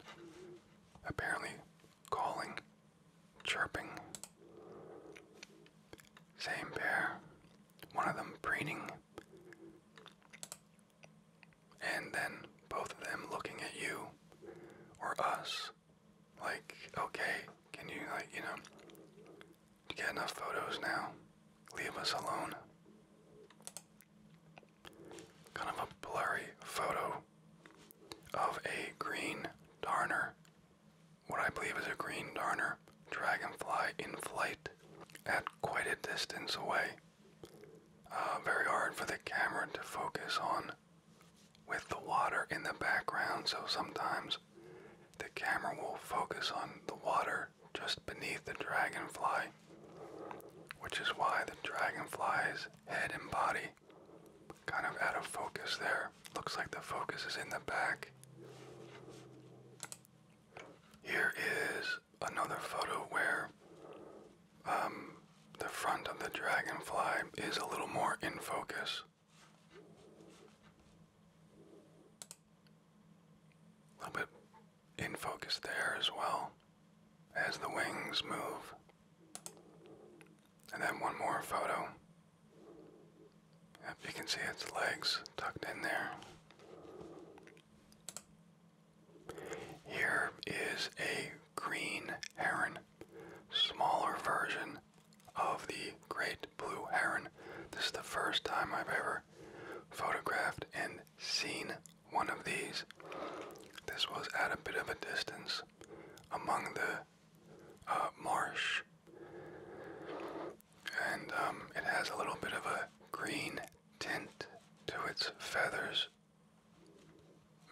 apparently calling, chirping. Same pair, one of them preening, and then both of them looking at you or us like, okay, can you, like, you know, get enough photos now? Leave us alone. Kind of a blurry photo of a green darner. What I believe is a green darner dragonfly in flight at quite a distance away. Uh, very hard for the camera to focus on with the water in the background, so sometimes the camera will focus on the water just beneath the dragonfly, which is why the dragonfly's head and body kind of out of focus there. Looks like the focus is in the back. Here is another photo where um, the front of the dragonfly is a little more in focus. A little bit in focus there as well as the wings move. And then one more photo. Yep, you can see its legs tucked in there. Here is a green heron, smaller version of the great blue heron. This is the first time I've ever photographed and seen one of these. This was at a bit of a distance among the uh, marsh and um, it has a little bit of a green tint to its feathers,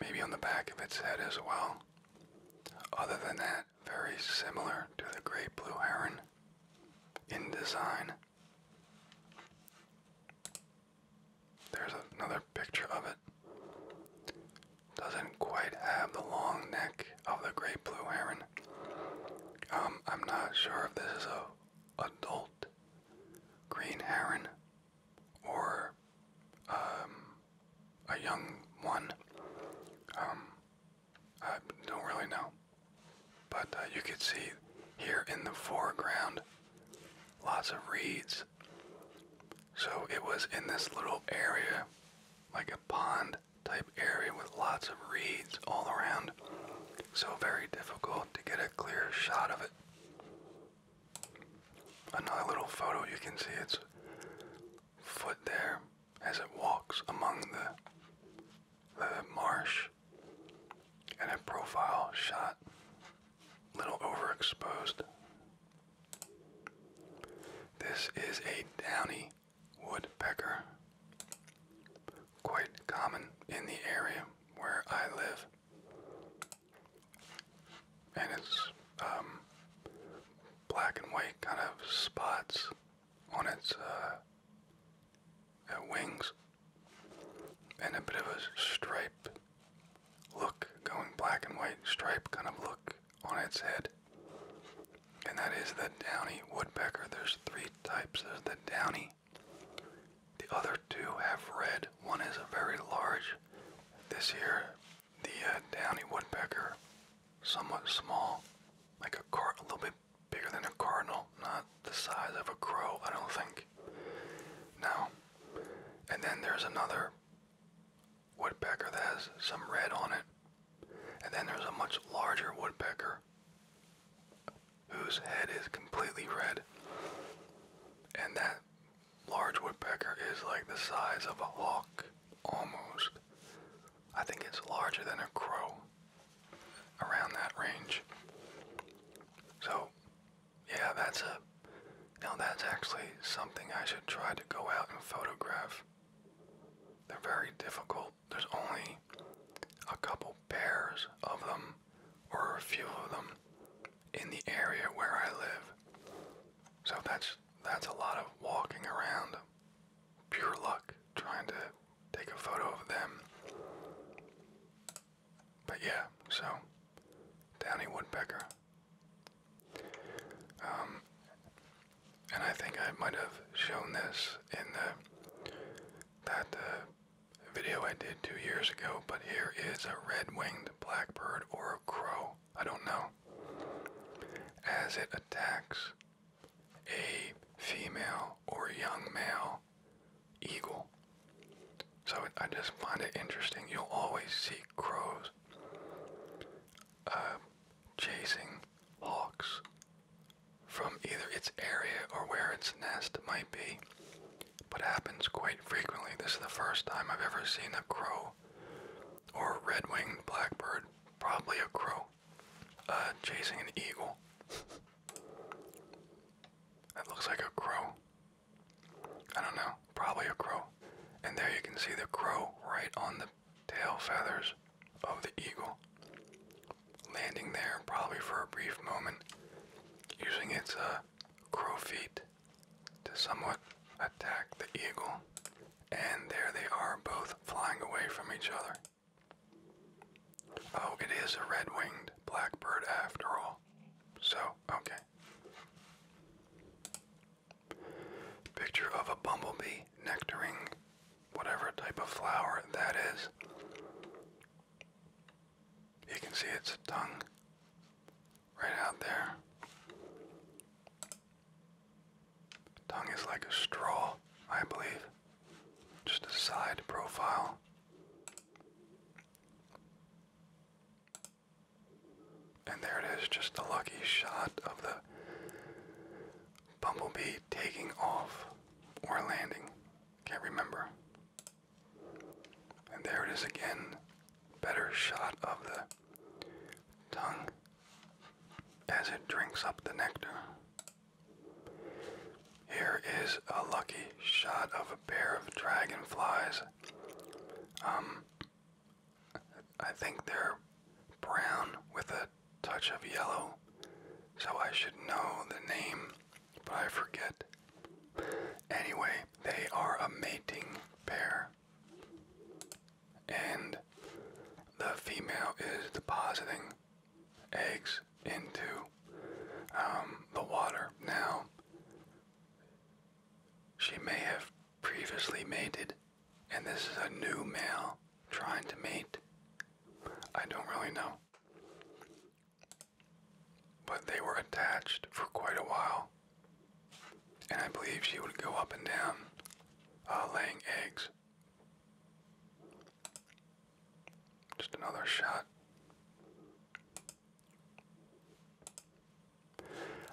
maybe on the back of its head as well. Other than that, very similar to the great blue heron in design. There's another picture of it. Doesn't quite have the long neck of the great blue heron. Um, I'm not sure if this is a adult green heron or um, a young one. Um, I don't really know. But uh, you can see here in the foreground lots of reeds. So it was in this little area, like a pond type area with lots of reeds all around so very difficult to get a clear shot of it. Another little photo you can see its foot there as it walks among the the marsh and a profile shot little overexposed. This is a downy woodpecker quite common in the area where I live. And it's um, black and white kind of spots on its uh, uh, wings and a bit of a stripe look going black and white stripe kind of look on its head and that is the downy woodpecker there's three types there's the downy the other two have red. One is very large. This year, the uh, downy woodpecker, somewhat small, like a car, a little bit bigger than a cardinal, not the size of a crow, I don't think. Now, and then there's another woodpecker that has some red on it, and then there's a much larger woodpecker bear whose head is completely red. And that large woodpecker is like the size of a hawk, almost. I think it's larger than a crow, around that range. So, yeah, that's a. Now that's actually something I should try to go out and photograph. They're very difficult there's only a couple pairs of them or a few of them in the area where I live. So that's that's a lot of walking around pure luck trying to take a photo of them. But yeah, so downy woodpecker. Um, and I think I might have shown this in the that uh, video I did two years ago, but here is a red-winged blackbird or a crow, I don't know, as it attacks a female or young male eagle. So I just find it interesting. You'll always see crows uh, chasing hawks from either its area or where its nest might be, but happens quite frequently. This is the first time I've ever seen a crow or a red winged blackbird, probably a crow, uh, chasing an eagle. That looks like a crow. I don't know, probably a crow. And there you can see the crow right on the tail feathers of the eagle landing there probably for a brief moment, using its uh, crow feet to somewhat attack the eagle. And there they are, both flying away from each other. Oh, it is a red winged blackbird after all. So, okay. Picture of a bumblebee nectaring whatever type of flower that is. You can see its tongue right out there. Tongue is like a straw, I believe. Just a side profile. And there it is, just a lucky shot of the bumblebee taking off or landing. Can't remember. And there it is again. Better shot of the tongue as it drinks up the nectar. Here is a lucky shot of a pair of dragonflies. Um, I think they're brown with a touch of yellow, so I should know the name but I forget. Anyway, they are a mating pair. And the female is depositing eggs into um, the water. Now, she may have previously mated, and this is a new male trying to mate. I don't really know. But they were attached for quite a while, and I believe she would go up and down uh, laying eggs. Just another shot.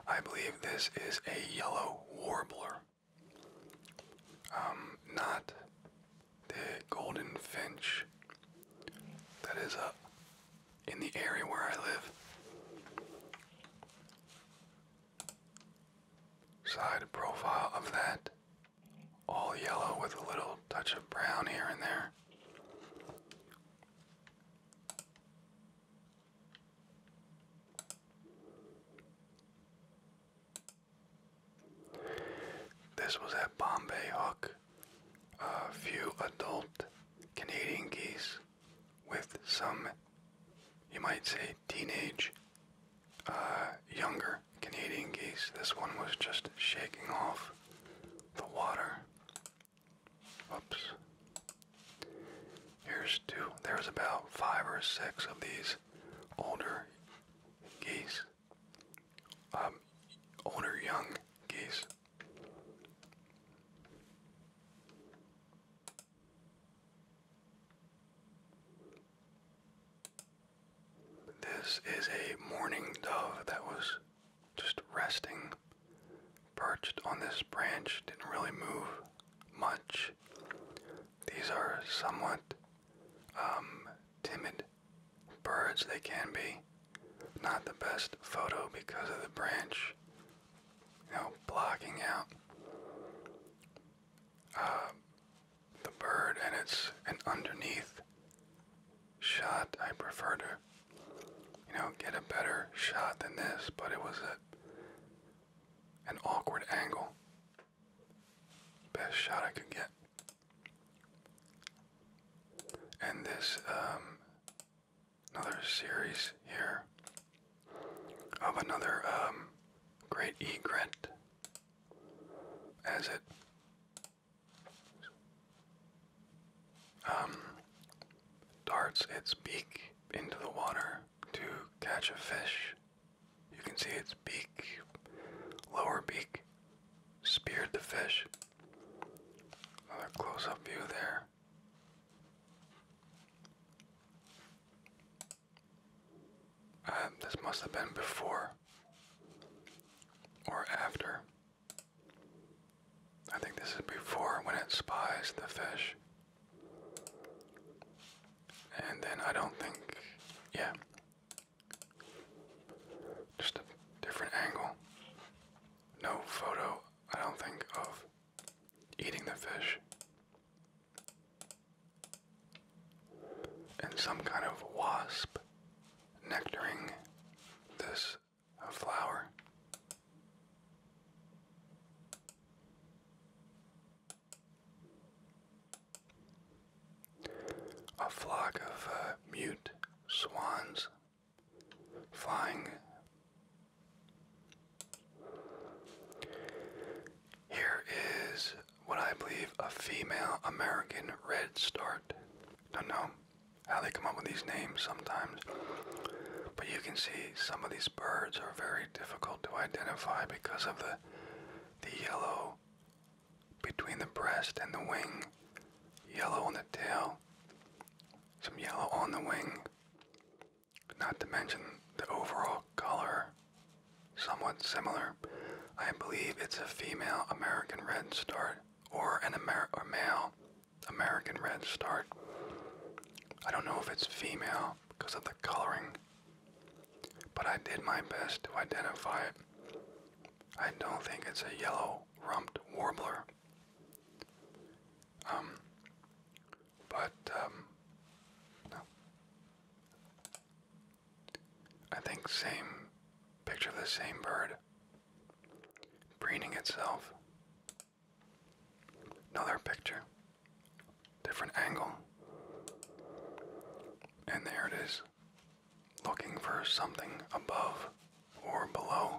I believe this is a yellow warbler. Um, not the golden finch that is up uh, in the area where I live. Side profile of that, all yellow with a little touch of brown here and there. This was at Bombay Hook. A few adult Canadian geese with some, you might say, teenage, uh, younger Canadian geese. This one was just shaking off the water. Oops. Here's two. There's about five or six of these older geese um, young geese. This is a mourning dove that was just resting, perched on this branch, didn't really move much. These are somewhat um, timid birds they can be. Not the best photo because of the branch, you know, blocking out uh, the bird and it's an underneath shot. I prefer to, you know, get a better shot than this, but it was a, an awkward angle. Best shot I could get. And this um, another series here of another um, great egret as it um, darts its beak into the water to catch a fish. You can see its beak, lower beak, speared the fish. Another close up view there. Uh, this must have been before or after. I think this is before when it spies the fish. And then I don't think, yeah, just a different angle. No photo, I don't think, of eating the fish. And some kind of wasp nectaring this uh, flower a flock of uh, mute swans flying. Here is what I believe a female American redstart. Don't know how they come up with these names sometimes, but you can see some of these birds are very difficult to identify because of the the yellow between the breast and the wing, yellow on the tail, some yellow on the wing, not to mention the overall color, somewhat similar. I believe it's a female American redstart or an Amer or male American redstart. I don't know if it's female because of the coloring, but I did my best to identify it. I don't think it's a yellow rumped warbler. Um, but, um, no. I think same, picture of the same bird preening itself. Another picture, different angle. And there it is looking for something above or below.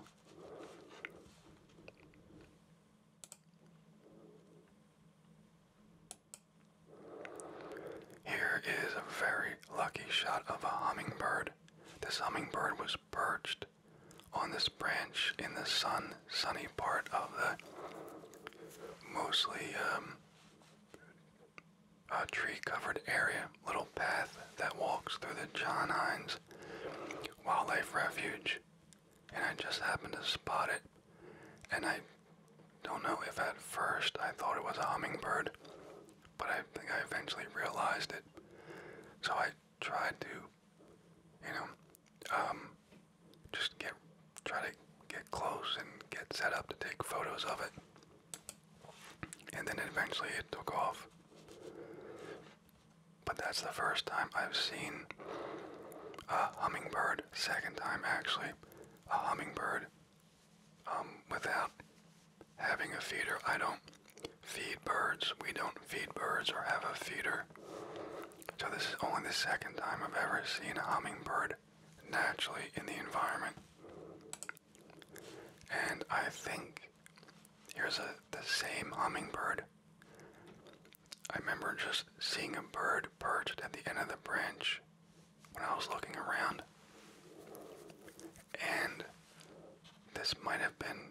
Here is a very lucky shot of a hummingbird. This hummingbird was perched on this branch in the sun, sunny part of the mostly um, a tree covered area, little path that walks through the John Hines Wildlife Refuge. And I just happened to spot it. And I don't know if at first I thought it was a hummingbird, but I think I eventually realized it. So I tried to, you know, um, just get, try to get close and get set up to take photos of it. And then eventually it took off. But that's the first time I've seen a hummingbird, second time actually, a hummingbird um, without having a feeder. I don't feed birds. We don't feed birds or have a feeder. So this is only the second time I've ever seen a hummingbird naturally in the environment. And I think here's the same hummingbird. I remember just seeing a bird perched at the end of the branch when I was looking around. And this might have been,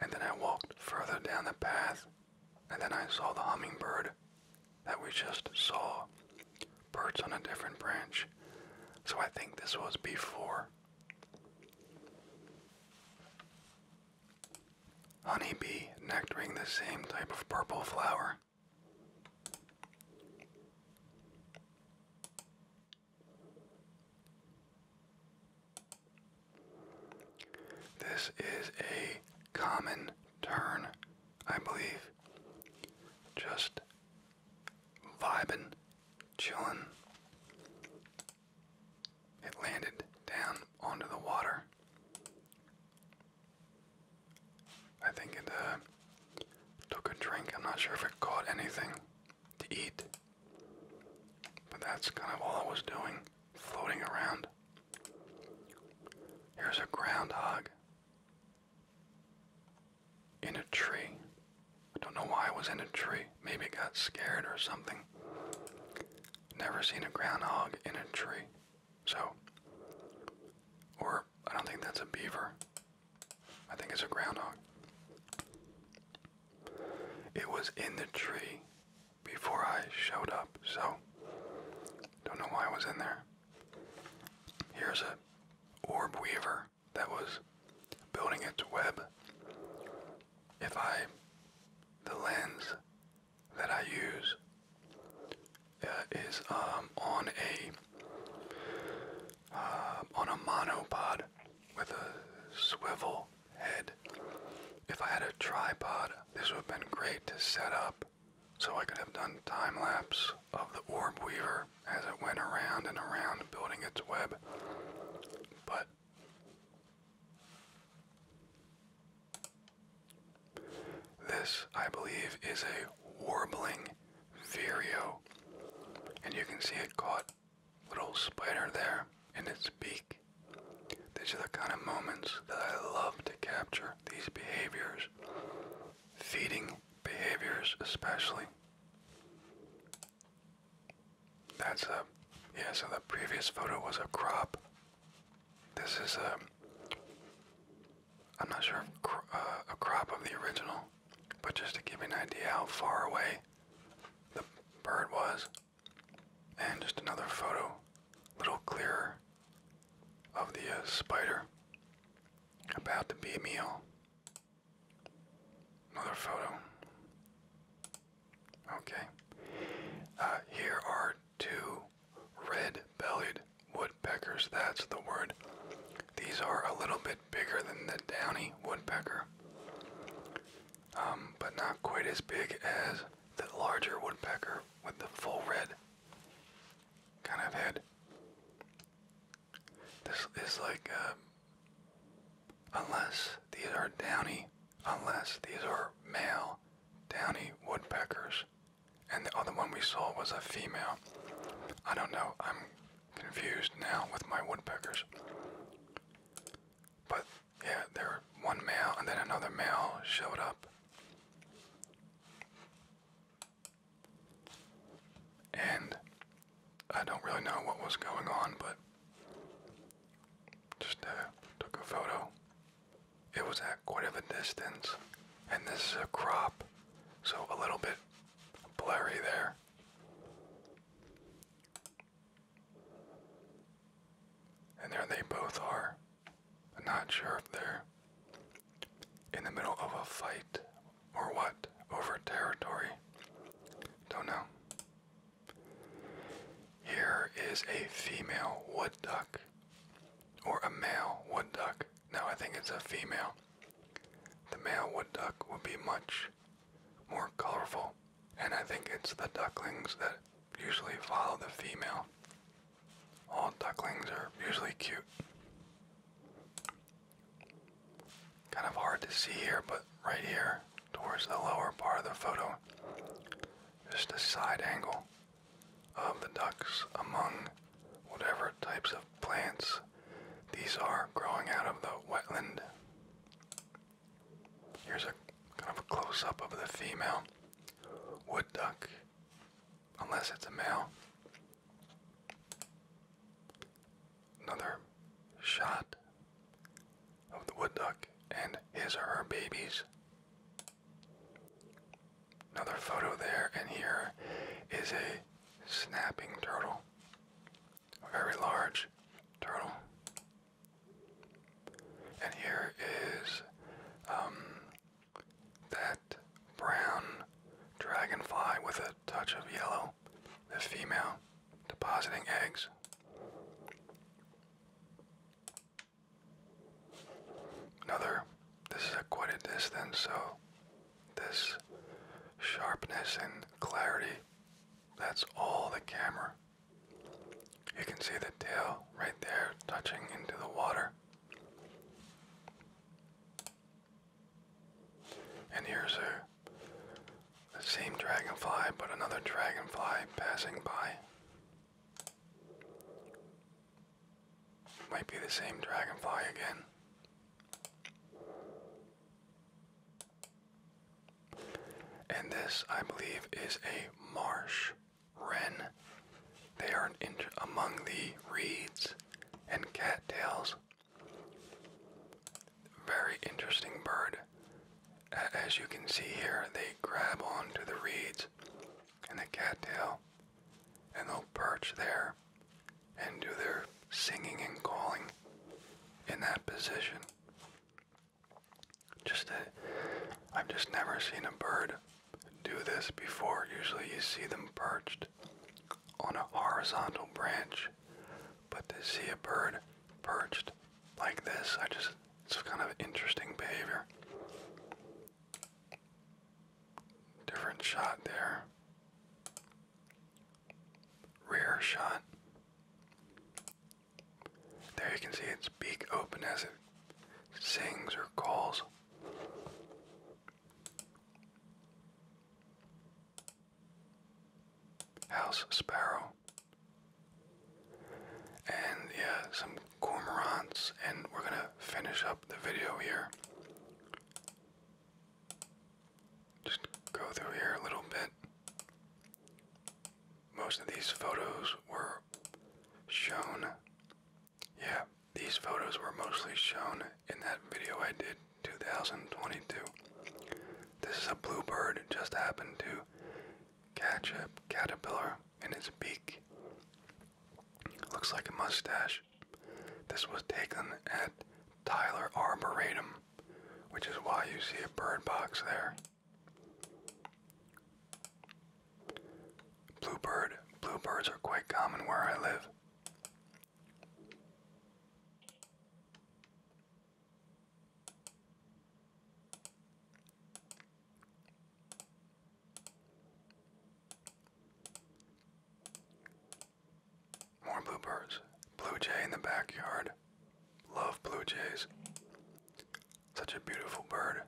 and then I walked further down the path, and then I saw the hummingbird that we just saw perched on a different branch. So I think this was before Honeybee nectaring the same type of purple flower. This is a common turn, I believe. Just vibin' chilling. It landed down onto the water. I think it uh, took a drink. I'm not sure if it caught anything to eat. But that's kind of all it was doing, floating around. Here's a groundhog in a tree. I don't know why I was in a tree. Maybe it got scared or something. Never seen a groundhog in a tree. So, or I don't think that's a beaver. I think it's a groundhog. It was in the tree before I showed up, so don't know why I was in there. Here's a orb weaver that was building its web, if I, the lens that I use uh, is um, on a um, on a monopod with a swivel head. If I had a tripod, this would have been great to set up so I could have done time lapse of the orb weaver as it went around and around building its web. But this, I believe, is a warbling vireo. And you can see it caught little spider there in its beak. These are the kind of moments that I love to capture, these behaviors. Feeding behaviors especially. That's a um, yeah. So the previous photo was a crop. This is a. Um, I'm not sure if uh, a crop of the original, but just to give you an idea how far away the bird was, and just another photo, a little clearer, of the uh, spider about to be meal. Another photo. Okay. Uh, here are two red bellied woodpeckers. That's the word. These are a little bit bigger than the downy woodpecker, um, but not quite as big as the larger woodpecker with the full red kind of head. This is like, um, unless these are downy, unless these are male downy woodpeckers, and the other one we saw was a female. I don't know, I'm confused now with my woodpeckers. But yeah, there were one male and then another male showed up. And I don't really know what was going on, but just uh, took a photo. It was at quite a distance, and this is a crop, so a little bit blurry there. And there they both are. not sure if they're in the middle of a fight or what over territory? Don't know. Here is a female wood duck or a male wood duck. Now I think it's a female. The male wood duck would be much more colorful, and I think it's the ducklings that usually follow the female. All ducklings are usually cute. Kind of hard to see here, but right here, towards the lower part of the photo, just a side angle of the ducks among whatever types of plants these are growing out of the wetland. Here's a kind of a close up of the female wood duck, unless it's a male another shot of the wood duck and his or her babies. Another photo there, and here is a snapping turtle, a very large turtle. And here is um, that brown dragonfly with a touch of yellow the female depositing eggs. Another, this is a quite a distance, so this sharpness and clarity, that's all the camera. You can see the tail right there touching into the water. And here's a the same dragonfly, but another dragonfly passing by. Might be the same dragonfly again. And this, I believe, is a marsh wren. They are among the reeds and cattails very interesting bird. As you can see here, they grab onto the reeds and the cattail, and they'll perch there and do their singing and calling in that position. Just i I've just never seen a bird do this before. Usually you see them perched on a horizontal branch but to see a bird perched like this, I just, it's kind of interesting behavior. Different shot there. Rear shot. There you can see its beak open as it sings or calls house sparrow, and yeah, some cormorants, and we're gonna finish up the video here. Just go through here a little bit. Most of these photos were shown. Yeah, these photos were mostly shown in that video I did 2022. This is a bluebird that just happened to catch a caterpillar in its beak. Looks like a mustache. This was taken at Tyler Arboretum, which is why you see a bird box there. Bluebird. Bluebirds are quite common where I live. More bluebirds. Blue jay in the backyard. Love blue jays. Such a beautiful bird.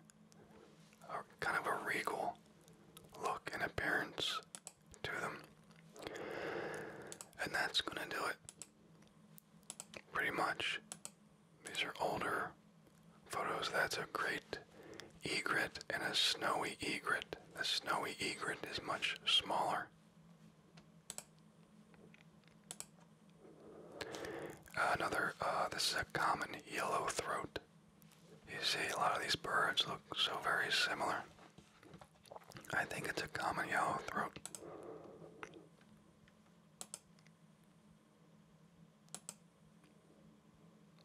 A, kind of a regal look and appearance to them. And that's going to do it pretty much. These are older photos. That's a great egret and a snowy egret. The snowy egret is much smaller. Another, uh, this is a common yellow throat. You see, a lot of these birds look so very similar. I think it's a common yellowthroat.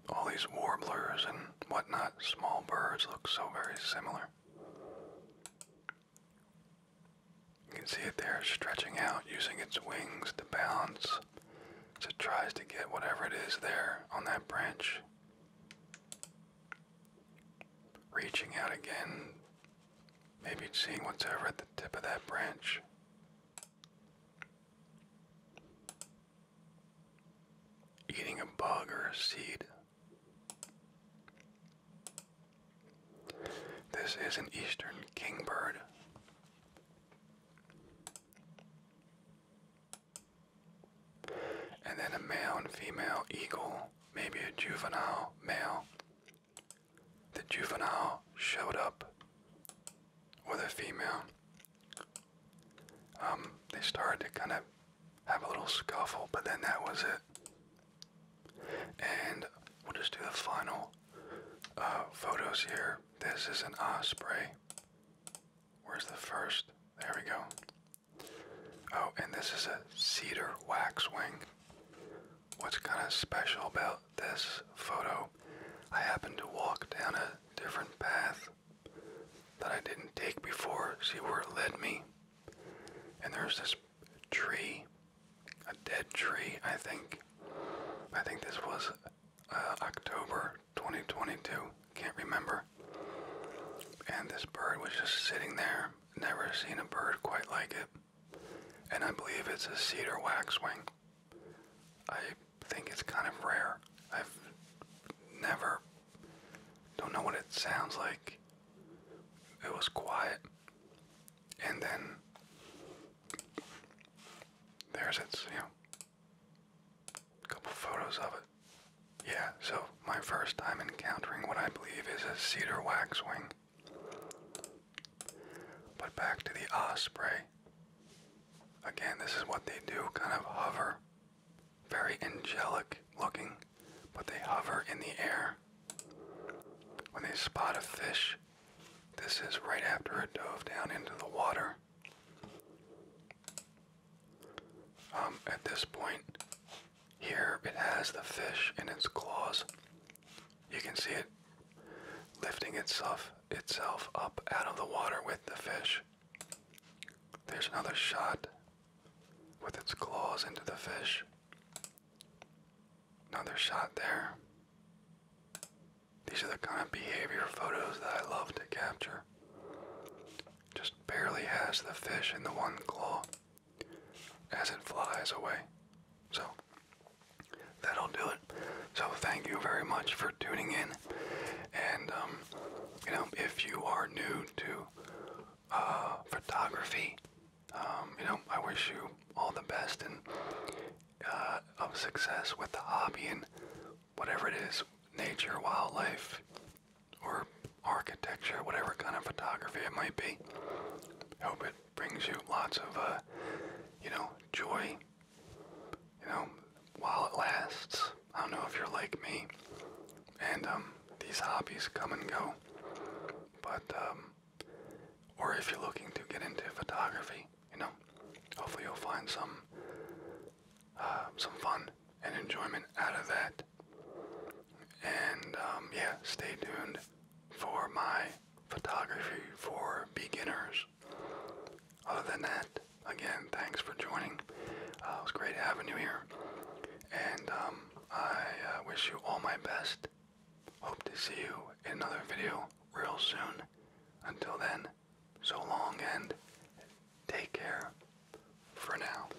All these warblers and whatnot, small birds look so very similar. You can see it there stretching out, using its wings to balance it tries to get whatever it is there on that branch. Reaching out again, Maybe it's seeing what's over at the tip of that branch. Eating a bug or a seed. This is an eastern kingbird. And then a male and female eagle maybe a juvenile male. The juvenile showed up with a female. Um, they started to kind of have a little scuffle, but then that was it. And we'll just do the final uh, photos here. This is an osprey. Where's the first? There we go. Oh, and this is a cedar waxwing. What's kind of special about this photo? I happened to walk down a different path that I didn't take before, see where it led me. And there's this tree, a dead tree, I think. I think this was uh, October 2022, can't remember. And this bird was just sitting there, never seen a bird quite like it and I believe it's a cedar waxwing. I think it's kind of rare. I've never, don't know what it sounds like. It was quiet, and then there's its, you know, a couple photos of it. Yeah, so my first time encountering what I believe is a cedar waxwing but back to the osprey. Again, this is what they do kind of hover. Very angelic looking, but they hover in the air. When they spot a fish, this is right after it dove down into the water. Um, at this point, here it has the fish in its claws. You can see it lifting itself itself up out of the water with the fish. There's another shot with its claws into the fish. Another shot there. These are the kind of behavior photos that I love to capture. Just barely has the fish in the one claw as it flies away. So that'll do it. So thank you very much for tuning in. And um, you know, if you are new to uh, photography, um, you know, I wish you all the best and uh, of success with the hobby and whatever it is, nature, wildlife, or architecture, whatever kind of photography it might be. Hope it brings you lots of, uh, you know, joy, you know, while it lasts. I don't know if you're like me, and um, these hobbies come and go, but, um, or if you're looking to get into photography, you know, hopefully you'll find some, uh, some fun and enjoyment out of that. And, um, yeah, stay tuned for my photography for beginners. Other than that, again, thanks for joining. Uh, was great having you here. And um, I uh, wish you all my best. Hope to see you in another video real soon. Until then, so long and take care for now.